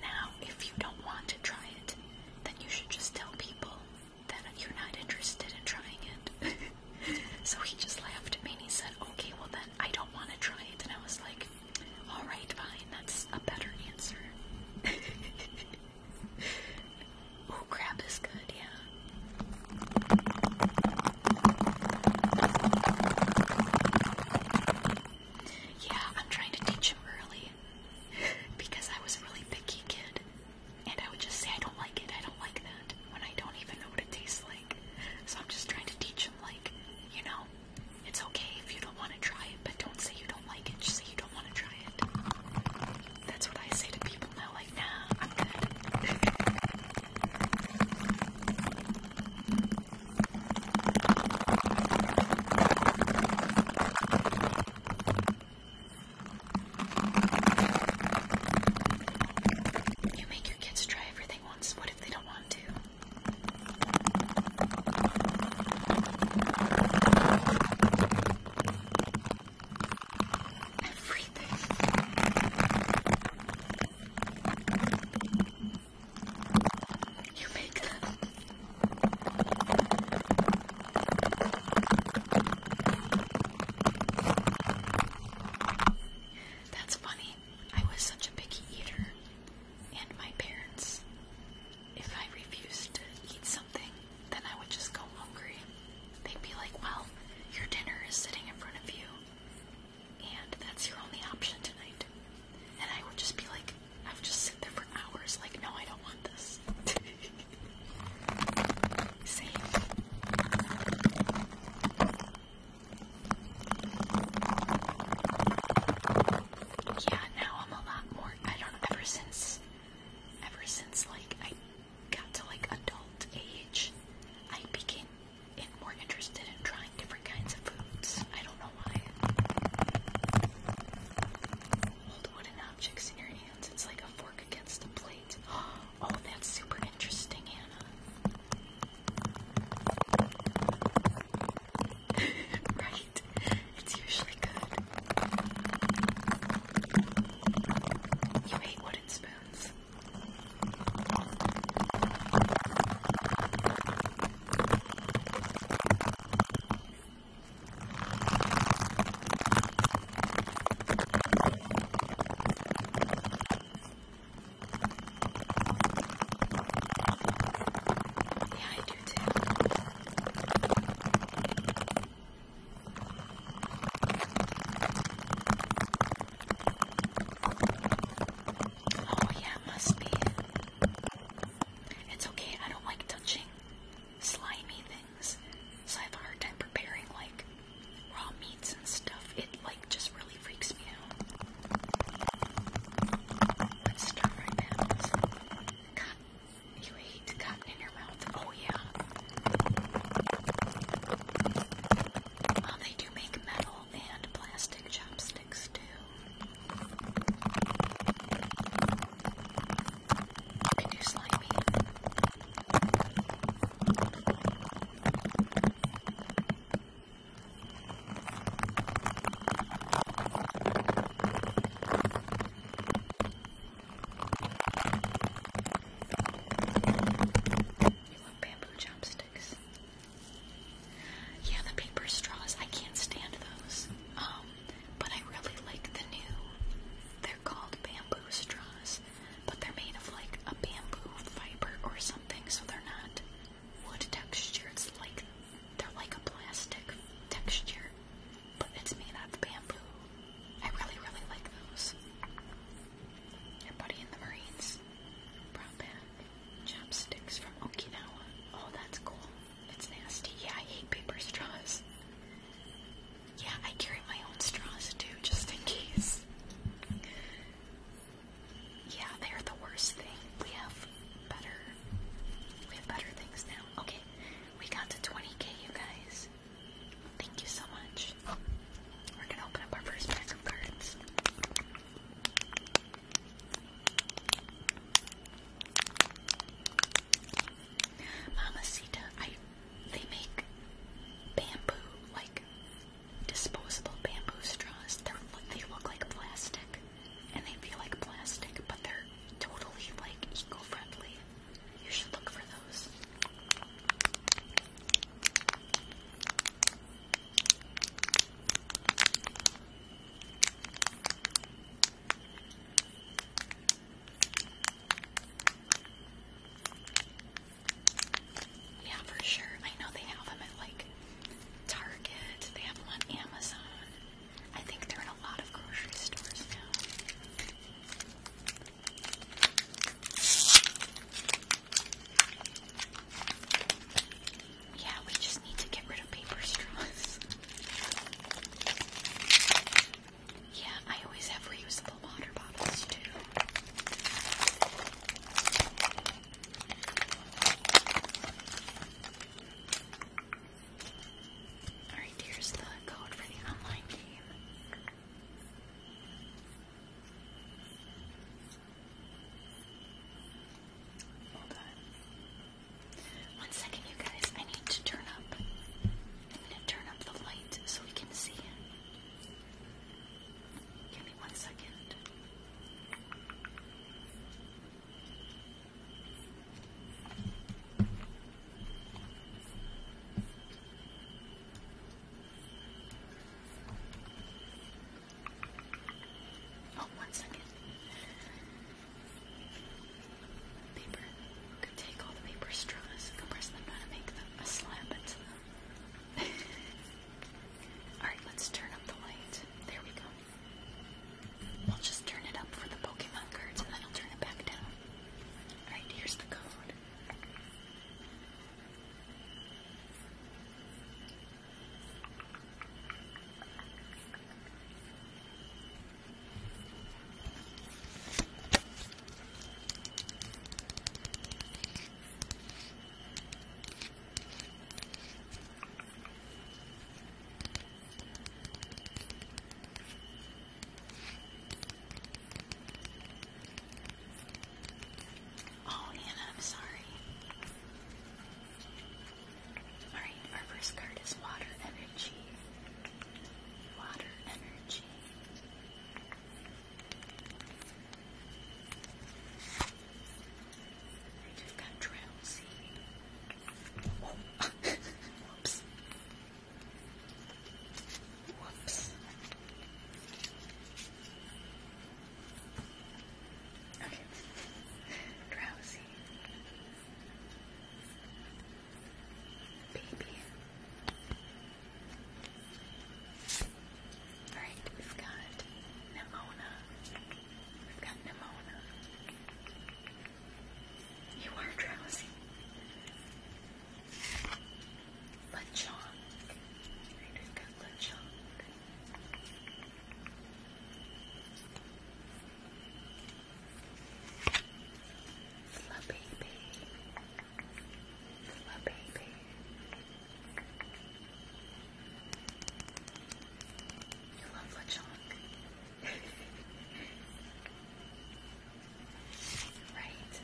A: Now, if you don't want to try it, then you should just tell people that you're not interested in trying it. so he just laughed at me and he said, okay, well, then I don't want to try it. And I was like, all right, fine, that's a better answer oh, crab is good, yeah. Yeah, I'm trying to teach him early because I was a really picky kid, and I would just say, I don't like it, I don't like that, when I don't even know what it tastes like. So I'm just trying to teach him, like, you know, it's okay if you don't want to try it, but don't say you don't like it. Just say you don't want to try it. That's what I say to people now. Like, nah, I'm good. You make your kids try everything once. What if they don't want to? Everything. You make them. That's funny. I was such a picky eater, and my parents if I refused to eat something, then I would just go hungry. They'd be like, well, your dinner is sitting in front of you, and that's your only option tonight. And I would just be like, I would just sit there for hours, like, no, I don't want this. Same. Yeah, now I'm a lot more I don't know. Ever since, ever since like I got to like adult age, I became more interested in trying different kinds of foods. I don't know why. Hold wooden objects in your hands. It's like a fork against a plate. Oh, that's super interesting, Anna right? It's usually good. You hate wooden spoons. Yeah, I Oh yeah, must be. It's okay, I don't like touching slimy things, so I have a hard time preparing like raw meats and stuff. It like just really freaks me out. Let's start right now. God you hate cotton in your mouth. Oh, yeah. Well, they do make metal and plastic chopsticks, too. You do slimy. You want bamboo chopsticks? Yeah, the paper straws. I can't stand those. Um, but I really like the new. They're called bamboo straws, but they're made of like a bamboo fiber or something, so they're not wood texture. It's like they're like a plastic texture, but it's made out of bamboo. I really, really like those. Your buddy in the Marines brought back chopsticks from Okinawa. Oh, that's cool. It's nasty. Yeah, I hate paper straws. Yeah, I carry my own straws too, just in case. Yeah, they're the worst thing. We have better we have better things now. Okay. We got to 20k, you guys. Thank you so much. We're gonna open up our first pack of cards. Mamacita, I they make bamboo, like disposable bamboo straws. They're, they look like plastic, and they feel like plastic, but they're totally like eco-friendly. You should look for those. Yeah, for sure. I know they have them at like Target. They have them on Amazon. I think they're in a lot of grocery stores now. Yeah, we just need to get rid of paper straws. yeah, I always have reusable water bottles too. Alright, here's the code for the online game. Hold on. One second, you guys. I need to turn up. turn up the light so we can see Give me one second. Oh, one second. Paper. You take all the paper straws, compress them down, and make them a slab into them. Alright, let's turn up the light. There we go. I'll just turn it up for the Pokemon cards and then I'll turn it back down. Alright, here's the code. Oh, Hannah, I'm sorry. Alright, our first card is Water Energy. Water Energy. Right, we got Drowsy. Oh. Whoops. Whoops. Okay. Drowsy. Baby. Alright, we've got Nimona. We've got Nimona. You are drowsy. Lechon. I just got lechon. Fla baby. You love lechon. Right.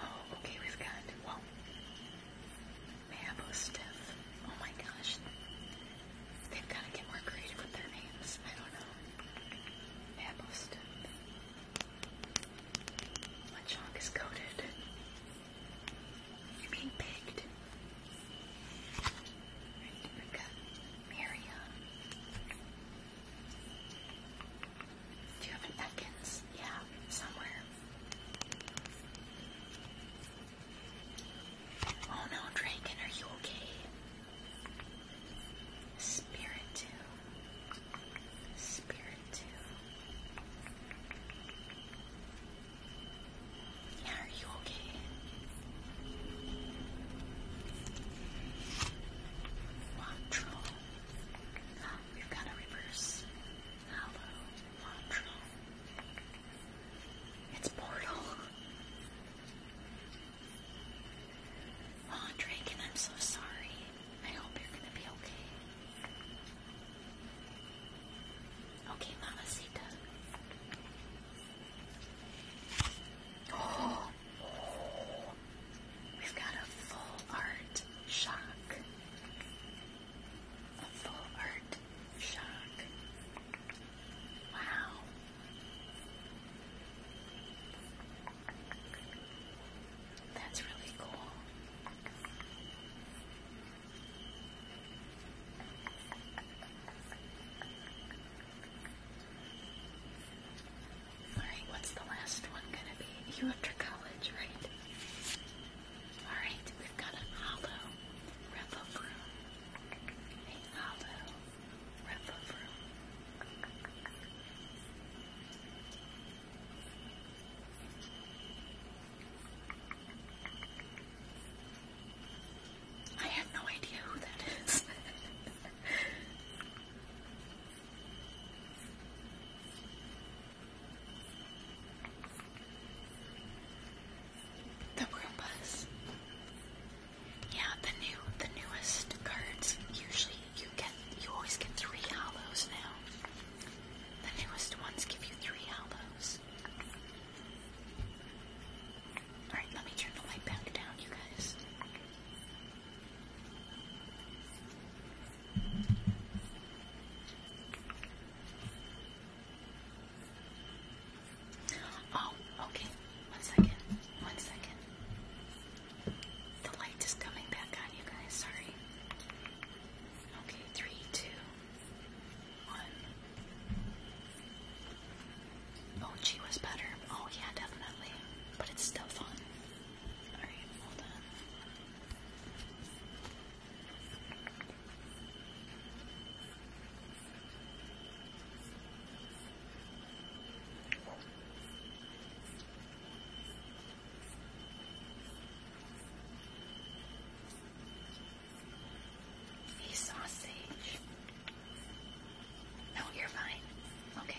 A: Oh, okay, we've got, whoa. Stiff. Oh my gosh. They've got to get more creative with their names. I don't know. Mabo Stiff. My chalk is coated. You're being Right, we've got Miriam. Do you have an Ekans? Yeah, somewhere. Oh no, Draken, are you okay? Spirit too. Spirit too. Yeah, are you okay? Quattro. we've got a reverse. Hello, Quattro. It's Portal. Oh, Draken, I'm so sorry. I hope you're gonna be okay. Okay, Mamacita. Oh, We've got a full art shock. A full art shock. Wow. That's really cool. Alright, what's the last one gonna be? You after college, right? Alright, we've got an hollow Revobroom. A hollow Revobroom. I have no idea who that is. The Roombas. Yeah, the new, the newest cards. Usually, you get, you always get three hollows now. The newest ones give you three hollows. All right, let me turn the light back down, you guys. Oh, okay. One second. One second. The light is coming back on you guys. Sorry. Okay, three, two, one. Mochi was better. Oh yeah, definitely. But it's still fun. Alright, hold on. He's sausage. No, you're fine. Okay.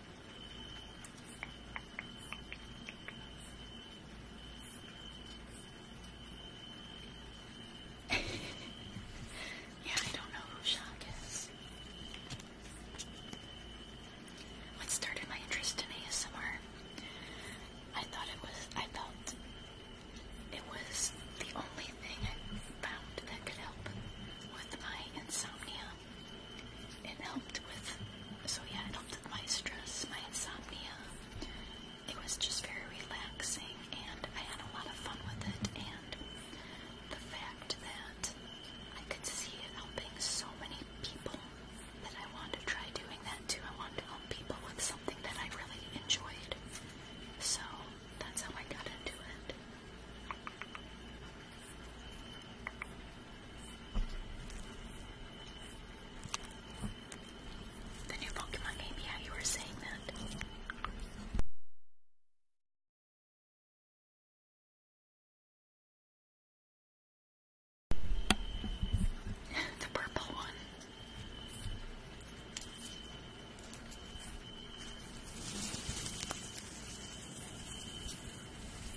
A: yeah, I don't know who Shock is. What started my interest in ASMR? I thought it was, I felt it was the only thing I found that could help with my insomnia it helped with, so yeah, it helped with my stress, my insomnia. It was just very relaxing, and I had a lot of fun with it, and the fact that I could see it helping so many people that I wanted to try doing that too. I wanted to help people with something that I really enjoyed. So that's how I got into it. The new Pokemon yeah, you were saying that. the purple one.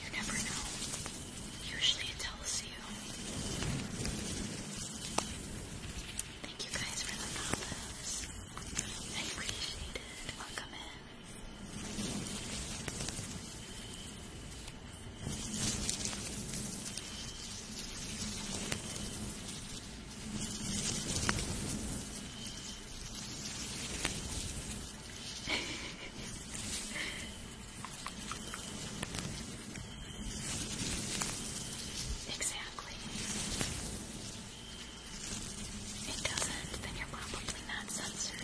A: You never know. Usually it tells you. Thank you guys for the novice. I appreciate it. Welcome in exactly. If it doesn't, then you're probably definitely not censored.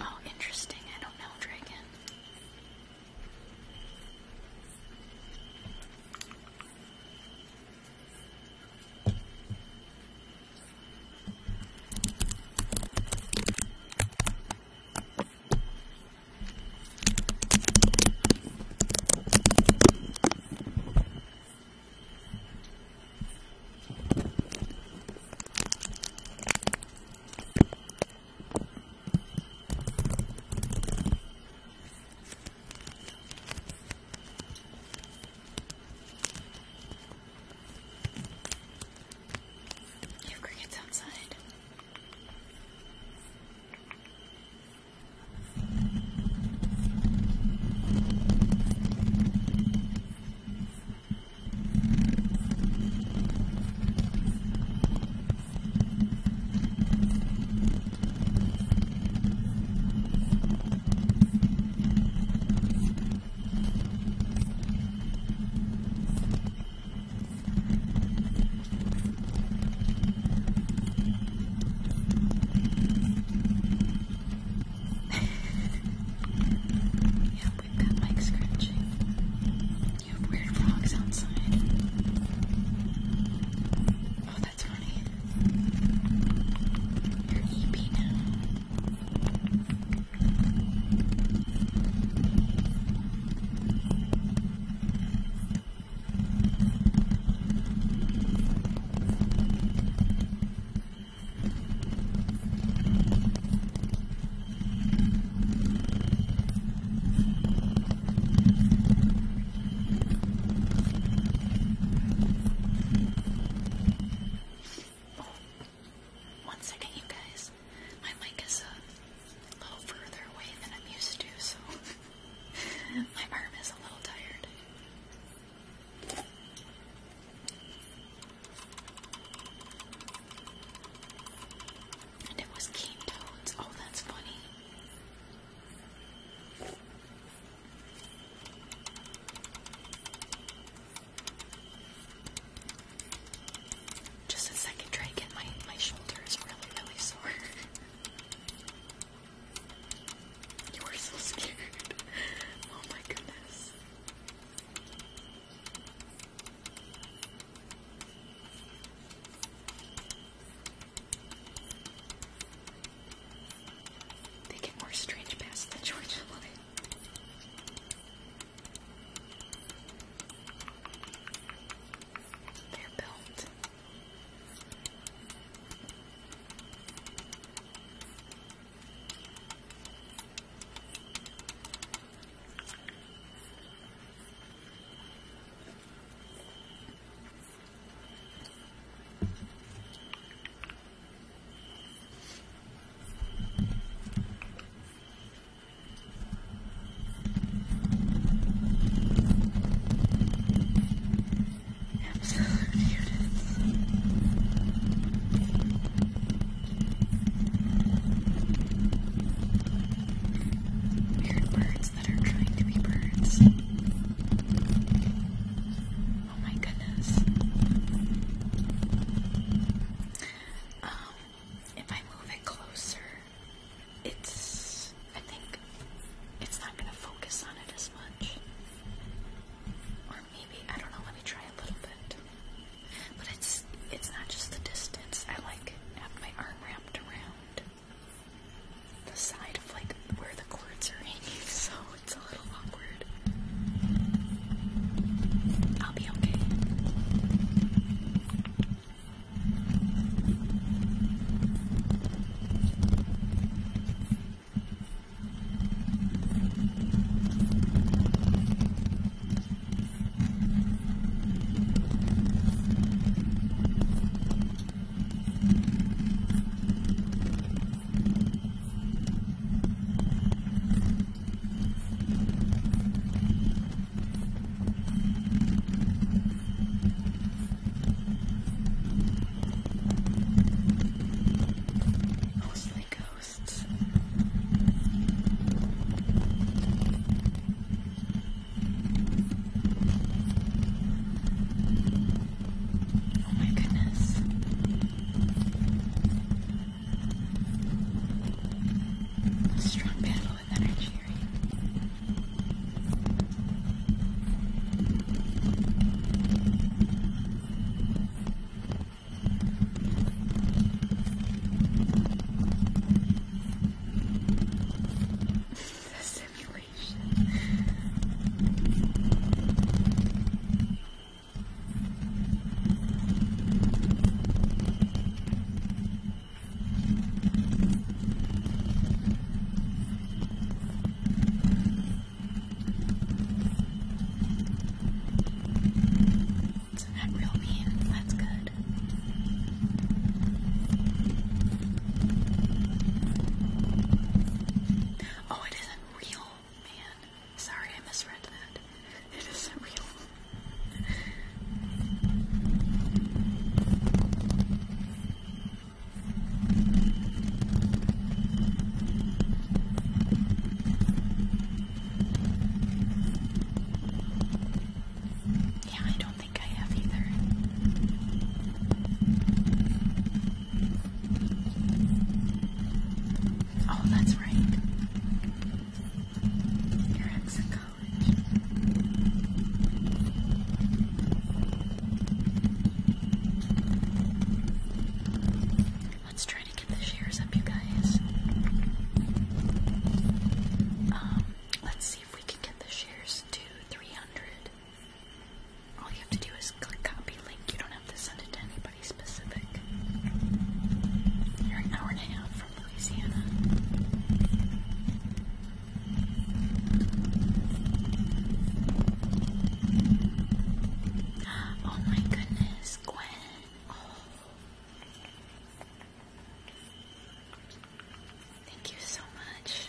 A: Oh, interesting. I don't know, Dragon. You have crickets outside yeah, we've got mic scratching. You have weird frogs outside. Oh, that's funny. You're EP now. Oh, one second, you guys. My mic is a little further away than I'm used to, so my arm is a little tired. And it was cane toads. Oh, that's funny. Just a second, try my my shoulder is really really sore. you were so scared. oh my goodness. They get more strange past the George. line. They're built. Absolute units. Weird birds that are trying to be birds. Oh my goodness. Um, if I move it closer, it's. I think it's not gonna focus on it as much. Or maybe, I don't know, let me try a little bit. But it's it's not just the distance. I like have my arm wrapped around the side of like where the cords are hanging, so it's a little awkward. I'll be okay. Mostly ghosts. Oh my goodness. A strong battle with energy, right? the simulation sounds and real means. That's good. Oh, it isn't real, man. Sorry, I misread that. It isn't real. Yeah, I don't think I have either. Oh, that's right. Your ex in college. Let's try to get the shares up, you guys. Um, Let's see if we can get the shares to 300. All you have to do is click copy link. You don't have to send it to anybody specific. You're an hour and a half from Louisiana. Oh my goodness, Gwen. Oh. Thank you so much.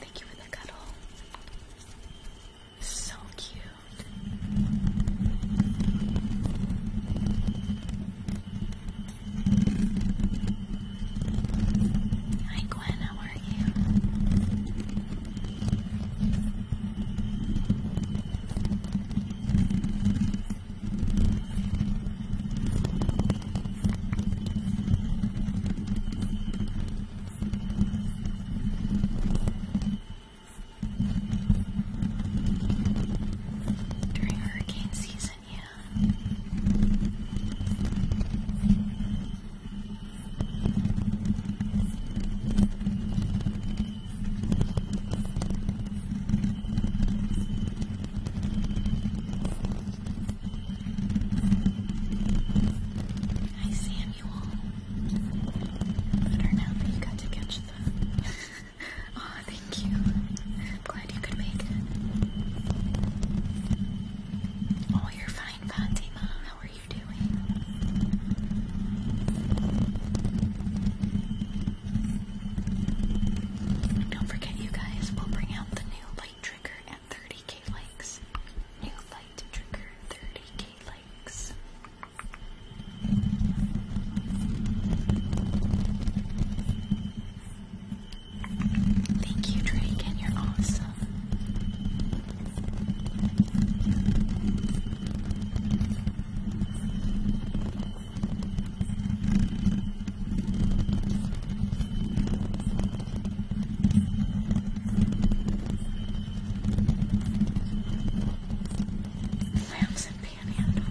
A: Thank you for the cuddle. So cute. Hi Gwen, how are you? During hurricane season, yeah. Hi, Samuel. Better now that you got to catch the. oh, thank you. I'm glad you could make it. Oh, you're fine, Fatima. How are you doing? don't forget, you guys, we'll bring out the new light trigger at 30k likes. New light trigger, 30k likes. Thank you, Drake, and you're awesome. Lambs and panhandle.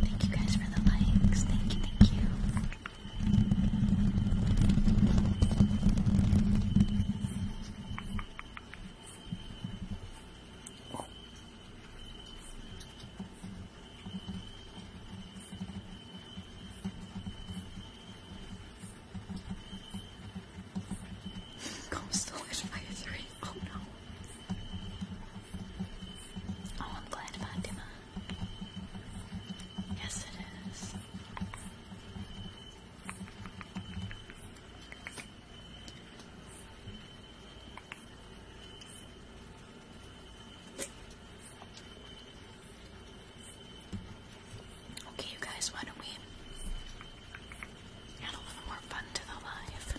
A: Thank you guys for the likes. Thank you, thank you to Coastal advisory. Oh no. Oh, I'm glad, Fatima. Yes, it is. Okay, you guys, why don't we add a little more fun to the live?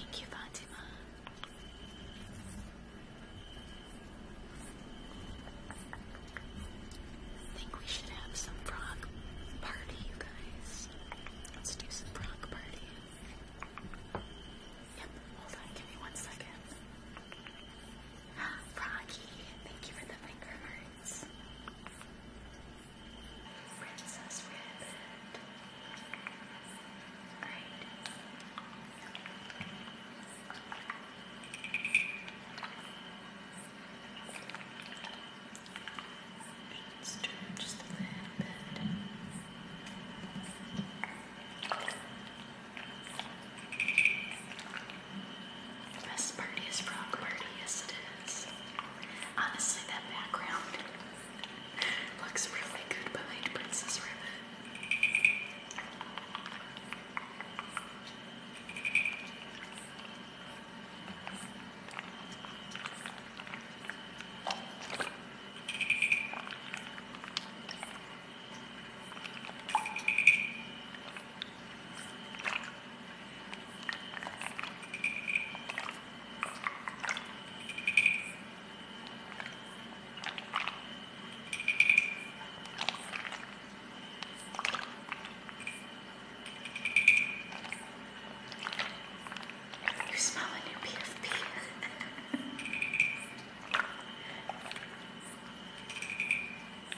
A: Thank you, Fatima. think we should have some frog party, you guys. Let's do some frog party. Yep, hold on, give me one second. Froggy, thank you for the finger hearts. Princess Rabbit. Great. Let's do it just a little bit. Good best party is frog party, yes it is. Honestly, that background looks really good behind Princess Ribbon. You smell a new PFP. Hey,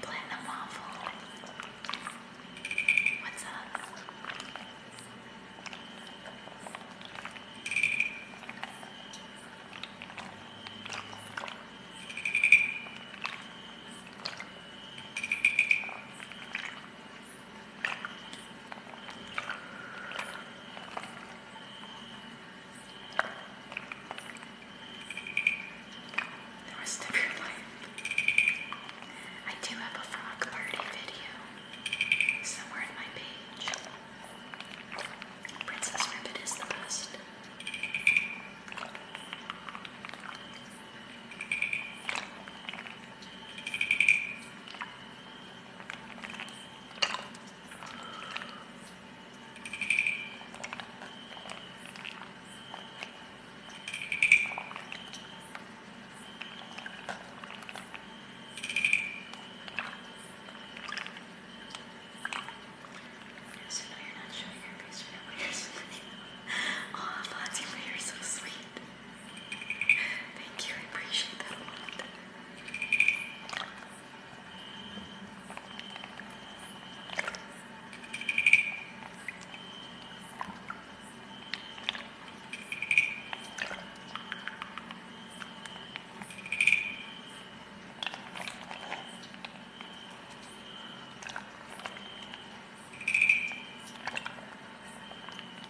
A: Platinum Waffle. What's up? the rest of your life. I do have a frog party video somewhere in my page. Princess Ribbit is the best. So no, you're not showing your face right now, but you're smiling. Aw, Fonzie, but you're so sweet. Thank you, I appreciate that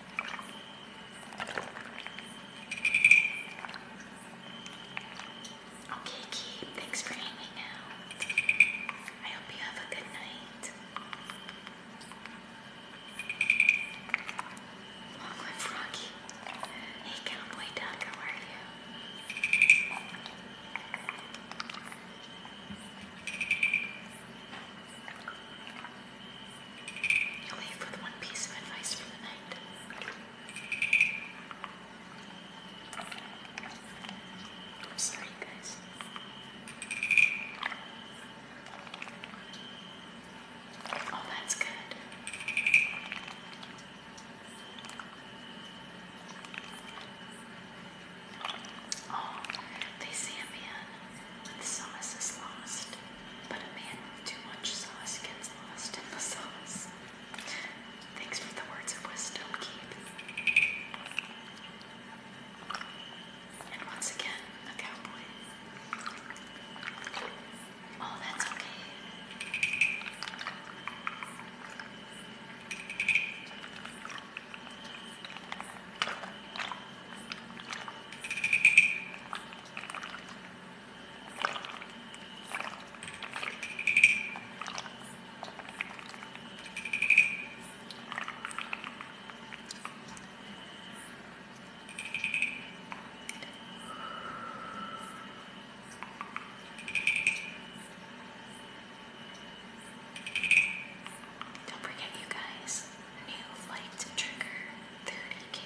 A: Okay, Keith, thanks for hanging out. I hope you have a good night. Long live Hey, Cowboy Duck, how are you? You leave with one piece of advice for the night. I'm sorry, guys. Oh, that's good. Oh, they see the sauce is lost, but a man with too much sauce gets lost in the sauce. Thanks for the words of wisdom, Keith. And once again, a cowboy. Oh, that's okay. Don't forget, you guys, new light trigger 30k.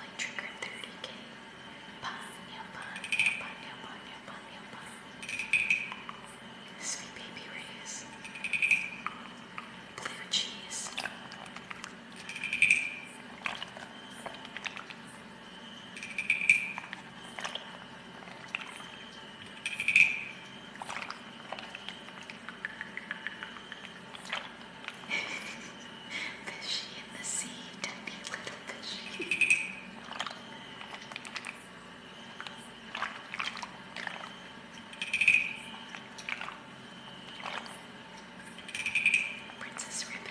A: light trigger 30k. Panya, panya, panya, panya, panya, panya. Sweet baby rays. Blue cheese fishy in the sea, tiny little fishy. Princess Ribbon.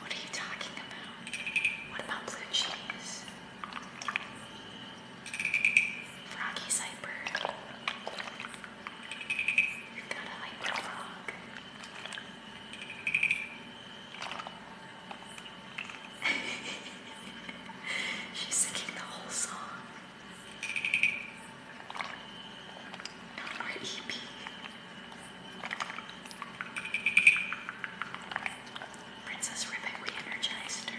A: What are you talking about? What about blue cheese? Froggy Cyper. You've got a hyper frog. She's singing the whole song. Or EP. Princess Ribbit re-energized her.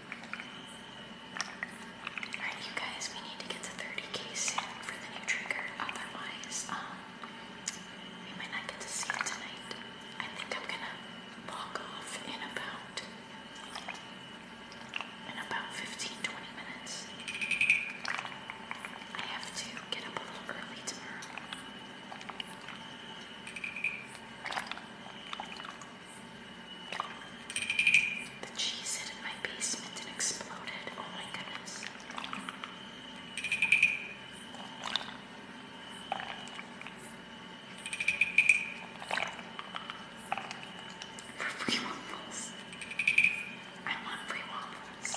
A: Alright, you guys, we need to get to 30k soon for the new trigger. Otherwise, um, we might not get to see it tonight. I think I'm gonna walk off in about in about 15-20 minutes. I have to get up a little early tomorrow. The cheese hit in my basement and exploded. Oh my goodness. For free I want free waffles.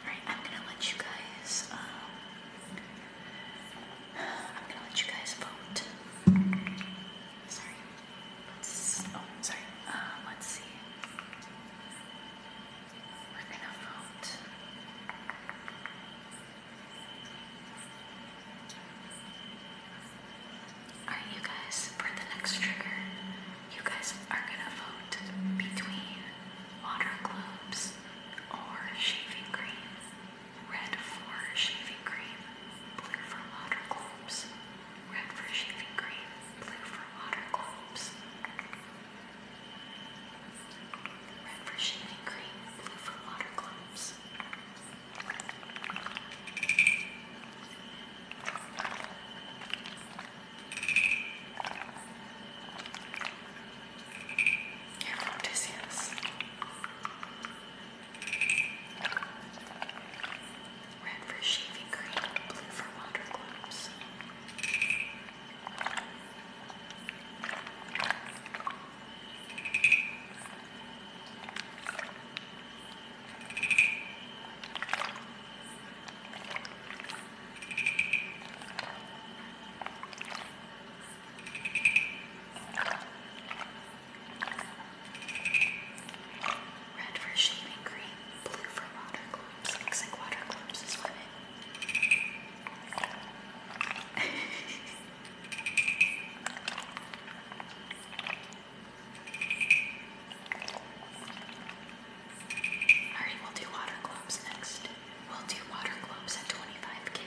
A: Alright, I'm gonna let you guys um, I'm gonna let you guys vote. Sorry oh, sorry, uh, let's see. We're gonna vote. Alright, you guys, for the next trigger, you guys are gonna vote between water globes or shaving cream. Red for shaving cream, blue for water globes red for shaving cream, blue for water globes. Red for shaving cream, blue for water globes. Here from Odysseus. Red for shaving cream, blue for water gloves.
B: Red for shaving cream, blue for water globes. Looks like water globes is what it. Alright, we'll do water globes next. We'll do water globes at 25k.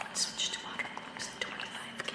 B: Let's switch to water globes at 25k.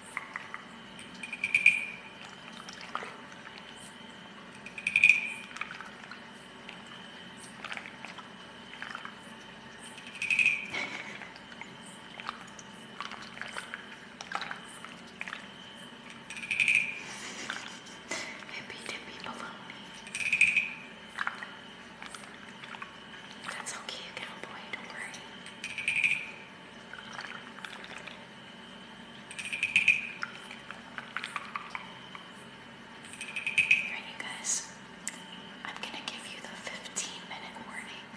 B: Hippy dippy baloney. That's okay, cowboy, don't worry. Alright, you guys, I'm gonna give you the 15 minute warning.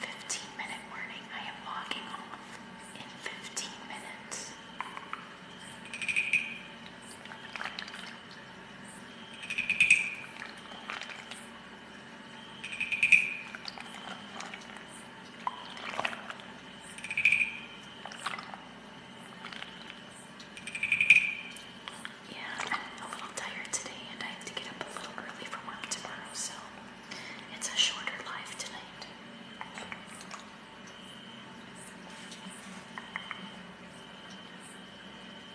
B: 15 minute warning. I am logging off in 15 minutes. Yeah, I'm a little tired today, and I have to get up a little early for work tomorrow, so it's a shorter life tonight.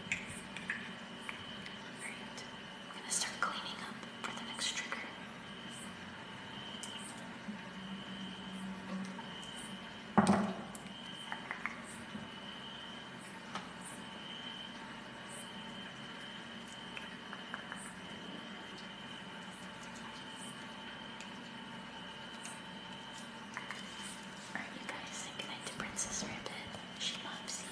B: Great. I'm gonna start cleaning up for the next trigger. Alright, you guys, say goodnight to Princess Ribbit. She loves you.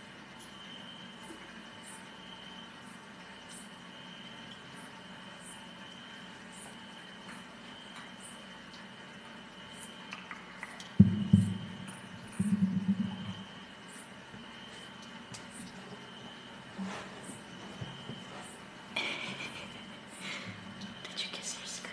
A: Did you kiss your screen?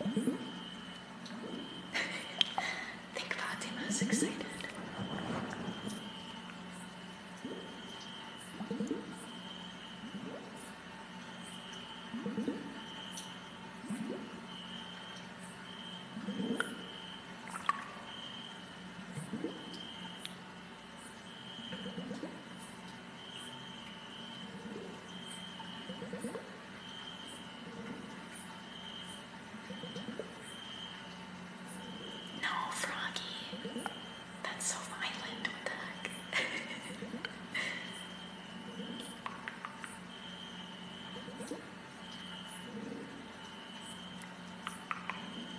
A: think Fatima's excited. No, Froggy. That's so violent. What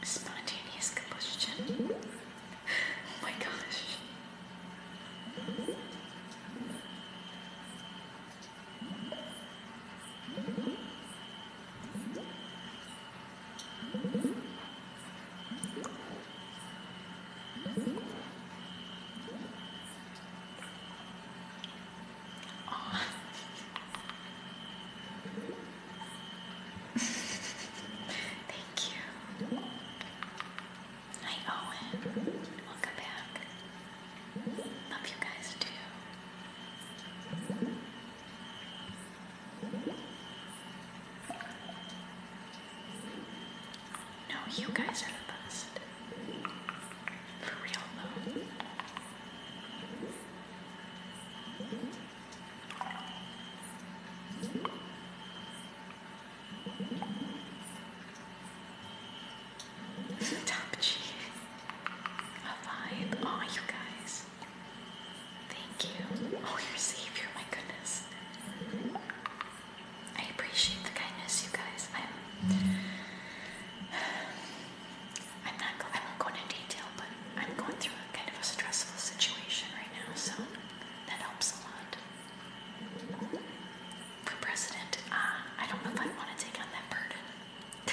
A: Spontaneous combustion. Oh my gosh. Thank you. Hi, Owen. Welcome back. Love you guys too. No, you guys are the best. For real, though. Top G. A vibe. Oh, you guys. Thank you. Oh, your savior, my goodness. I appreciate the kindness, you guys. I'm, I'm not. I won't go into detail, but I'm going through a kind of a stressful situation right now, so that helps a lot. For president, uh, I don't know if I want to take on that burden.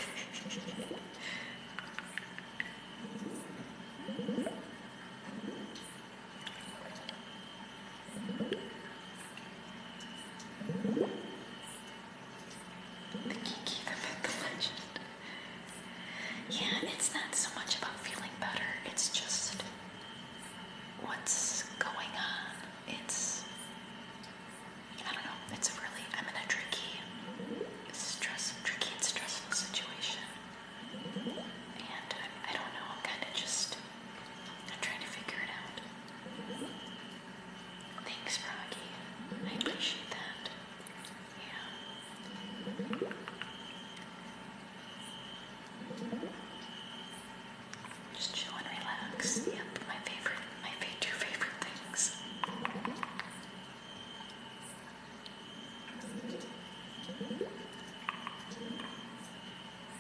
A: The Kiki, the legend. Yeah, it's not so much about feeling better, it's just what's going on. It's, I don't know, it's a really, I'm in a tricky, stress, tricky and stressful situation. And I don't know, I'm kind of just I'm trying to figure it out. Thanks, Froggy. I appreciate that. Yeah. Just chill and relax. Yep, my favorite, my two favorite things.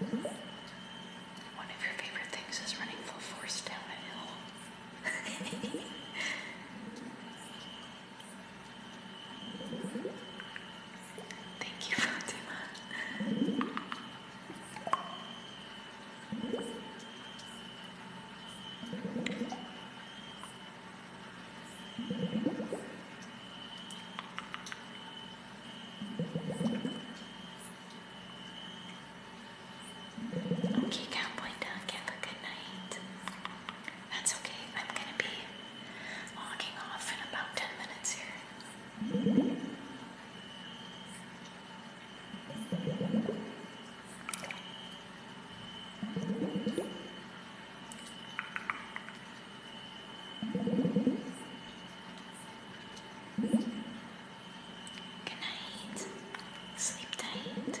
B: One
A: of your favorite things is running full force down a hill. Thank you, Fatima. Okay, Cowboy Duck, have a good night. That's okay, I'm gonna be logging off in about 10 minutes here. Good night. Sleep tight.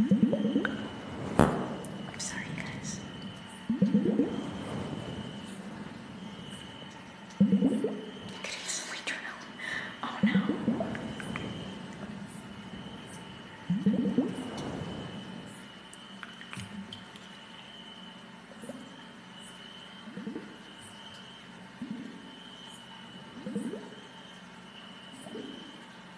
A: I'm sorry, guys. Could easily turn out. Oh no.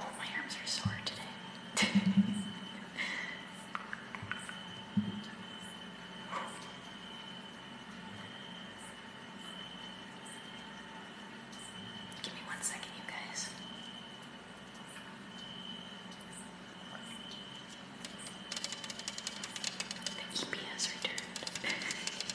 A: Oh, my arms are sore today. Give me one second, you guys. The EP returned.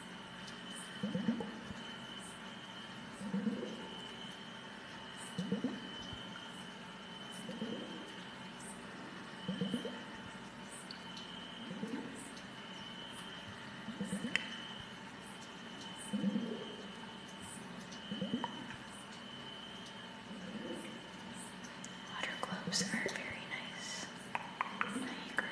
A: Water gloves are very nice. I agree.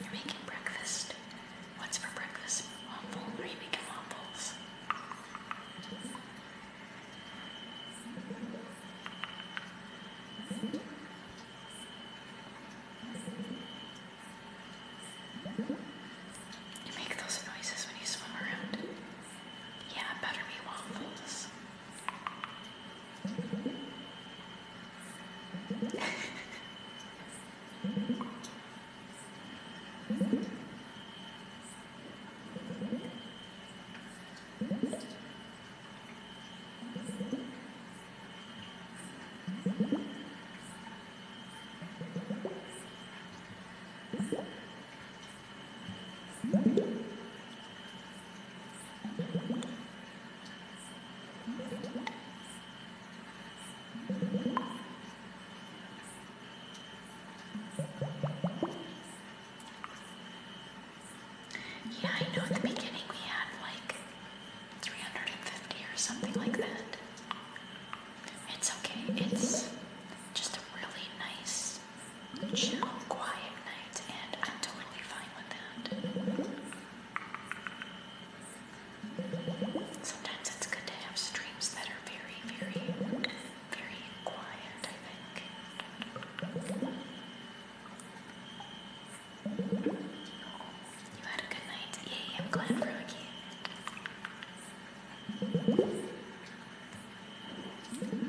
A: You're making breakfast. What's for breakfast? Waffle? Are you making waffles? You make those noises when you swim around. Yeah, better be waffles. Yeah, I know at the beginning we had like 350 or something like that. It's okay. It's just a really nice, chill, quiet night, and I'm totally fine with that. Sometimes it's good to have streams that are very, very, very quiet, I think. You had a good night. Yay, I'm glad I'm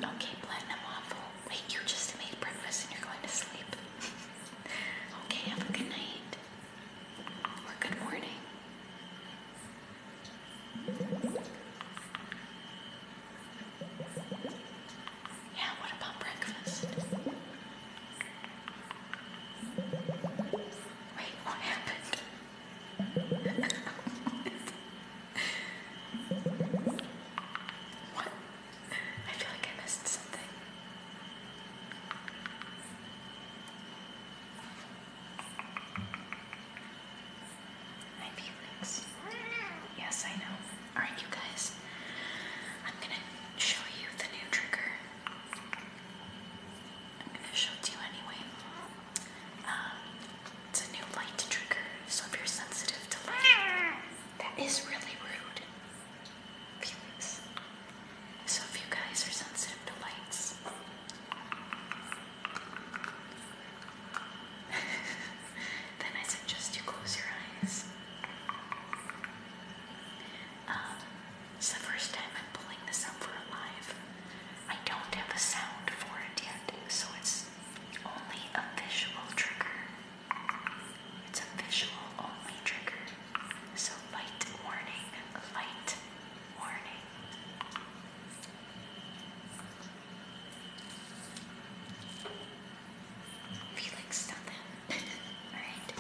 A: Okay, platinum waffle. Wait, you just made breakfast and you're going to sleep. okay, have a good night. Or good morning. Yeah, what about breakfast? Wait, what happened? what? I feel like I missed something. Hi, Felix. Yes, I know. Alright, you guys. I'm gonna show you the new trigger. I'm going to show it to you anyway. Um, it's a new light trigger, so if you're sensitive to light, that is really rude. So if you guys are sensitive to lights, then I suggest you close your eyes. Um, it's the first time I'm pulling this up for a live. I don't have a sound for it yet, so it's only a visual trigger. It's a visual only trigger. So light warning, light warning. Felix, stop Alright.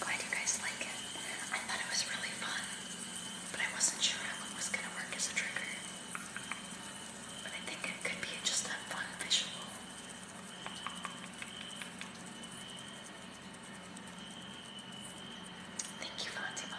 A: Glad you guys like it. I thought it was really fun but I wasn't sure how it was going to work as a trigger. But I think it could be just a fun visual. Thank you, Fatima.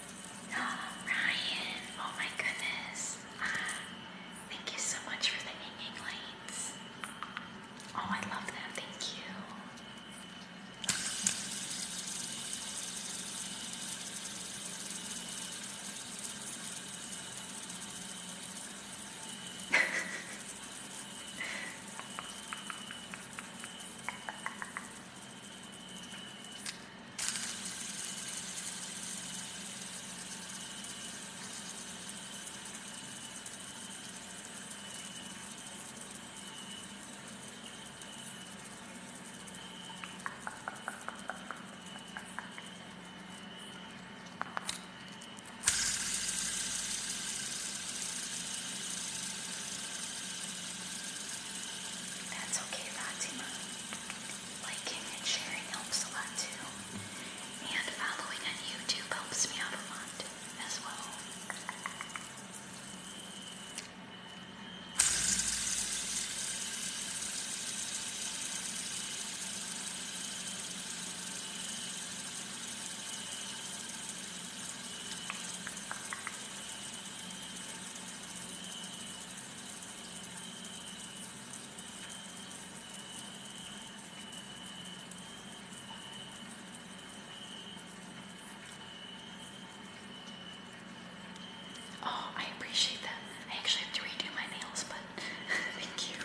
A: Ryan, oh my goodness. Ah, thank you so much for the hanging lights. Oh, I love that. Thank you. That's okay, Fatima liking and sharing helps a lot too. And following on YouTube helps me out a lot as well. Oh, I appreciate that. I actually have to redo my nails, but thank you.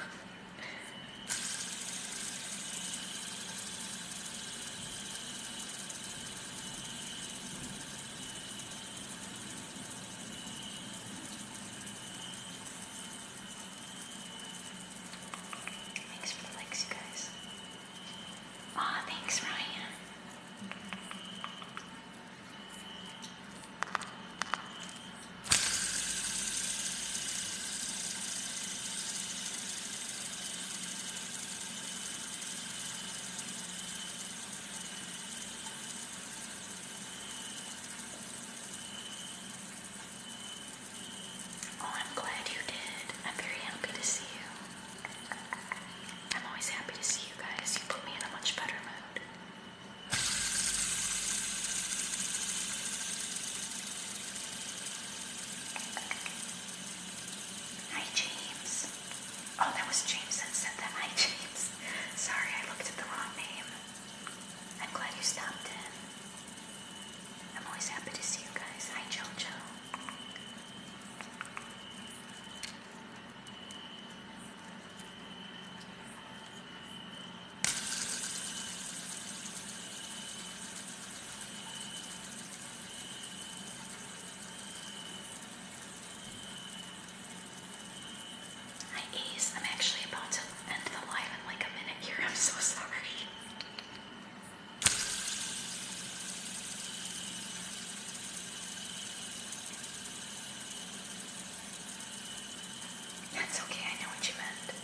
A: Thanks for the likes, you guys. Aw, thanks, Ryan. Oh, I'm glad you did. I'm very happy to see you. I'm always happy to see you guys. You put me in a much better mood. Hi, James. Oh, that was James that said that. Hi, James. Sorry, I looked at the wrong name. I'm glad you stopped in. I'm always happy to see you guys. Hi, JoJo. Hi Ace, I'm actually about to end the live in like a minute here. I'm so sorry. That's okay, I know what you meant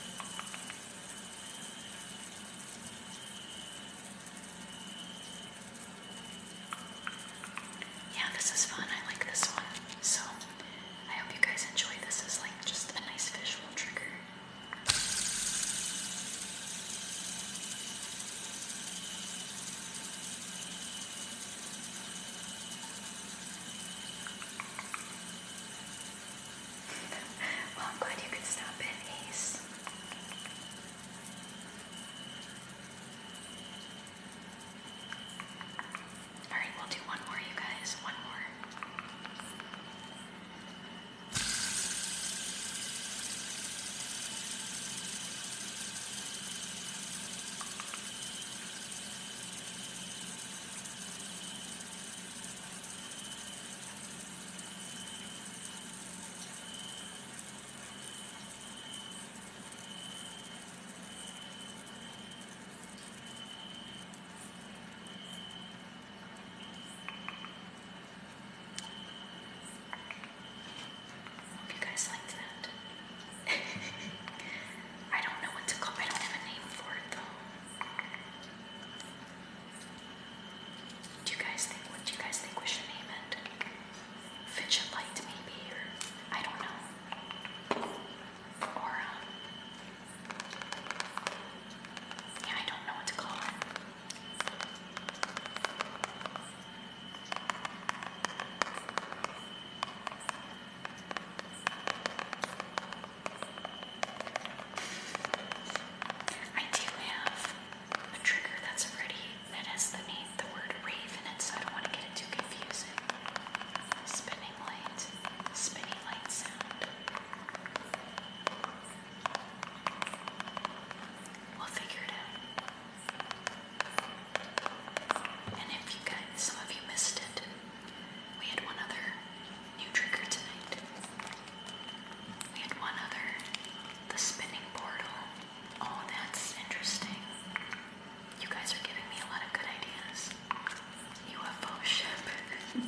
A: yeah, this is fun. I like this one. So I hope you guys enjoy this is like just a nice visual trigger. well, I'm glad you could stop in, Ace. Alright, we'll do one more, you guys. One more. Hope you guys liked that. I don't know what to call. it. I don't have a name for it though. Do you guys think? What do you guys think we should name it? Fidget light, maybe, I don't know or um, yeah, I don't know what to call it. I do have a trigger that's already it has the name, the word raven in it, so I don't want to get it too confusing. Spinning light, spinning light sound. We'll figure it out. And if you guys, some of you missed it, we had one other new trigger tonight. We had one other, the spinning portal. Oh, that's interesting. You guys are giving me a lot of good ideas. UFO ship. we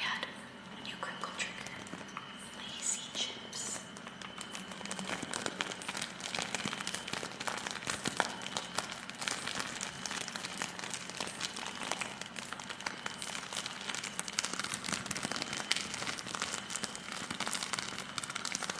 A: had a new crinkle trigger. Lazy chips.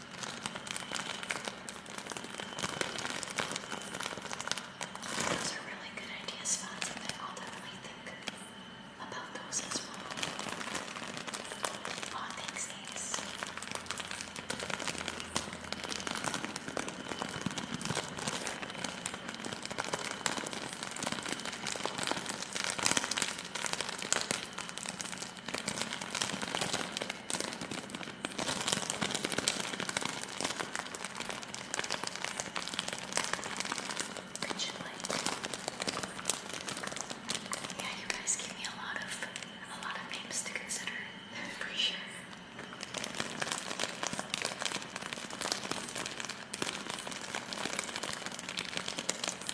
A: Those are really good idea spots, and I'll definitely think about those as well. Oh, thanks, Ace. Could you like? Yeah, you guys give me a lot of a lot of names to consider for sure.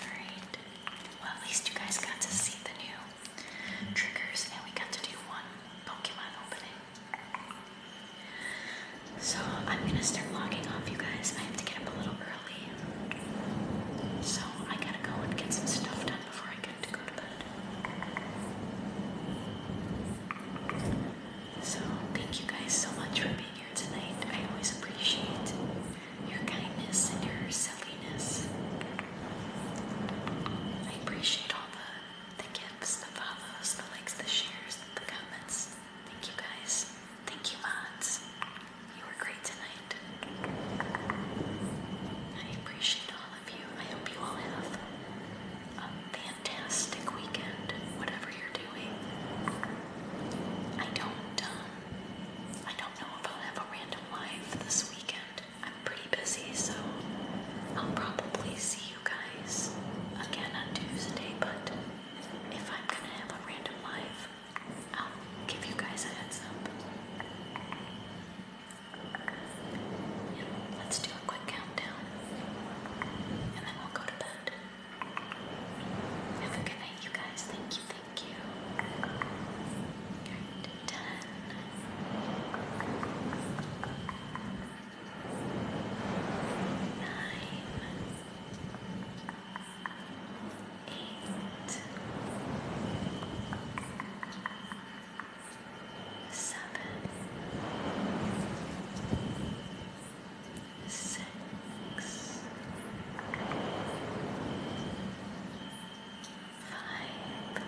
A: Alright. Well, at least you guys got to see the new triggers and we got to do one Pokemon opening. So I'm gonna start logging off, you guys. I have to get up a little early. So I gotta go and get some stuff done before I get to go to bed. So, thank you guys so much for being here tonight. I always appreciate your kindness and your silliness. I appreciate all the, the gifts, the follows, the likes, the shares, the comments. Thank you guys. Thank you, mods. You were great tonight. I appreciate all of you. I hope you all have a fantastic weekend, whatever you're doing. I don't, um, I don't know if I'll have a random live this weekend. I'm pretty busy, so I'll probably see you guys again on Tuesday, but if I'm gonna have a random live, I'll give you guys a heads up. let's do a quick countdown and then we'll go to bed. Have a good night, you guys. Thank you, thank you. Good six, five, can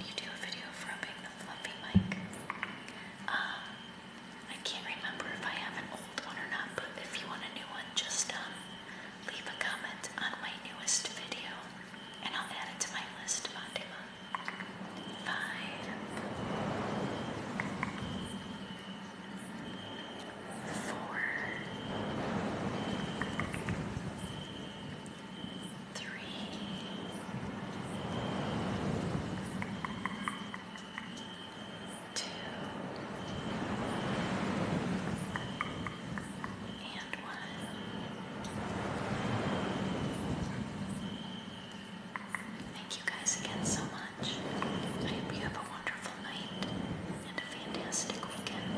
A: you do a video of rubbing the fluffy mic? Um, I can't remember if I have an old one or not, but if you want a new one, just um, leave a comment on my newest video, and I'll add it to my list, Fatima. Five, four, three, two, Thank you guys again so much. I hope you have a wonderful night and a fantastic weekend.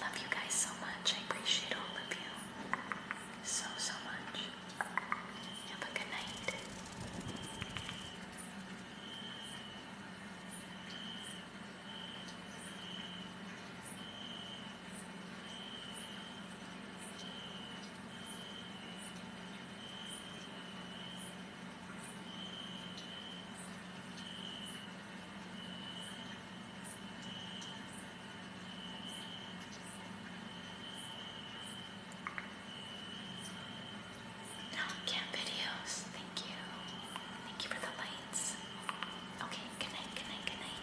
A: Love you guys so much. I appreciate all of you so, so much. Have a good night. No, can videos. Thank you. Thank you for the lights. Okay, good night, good night, good night.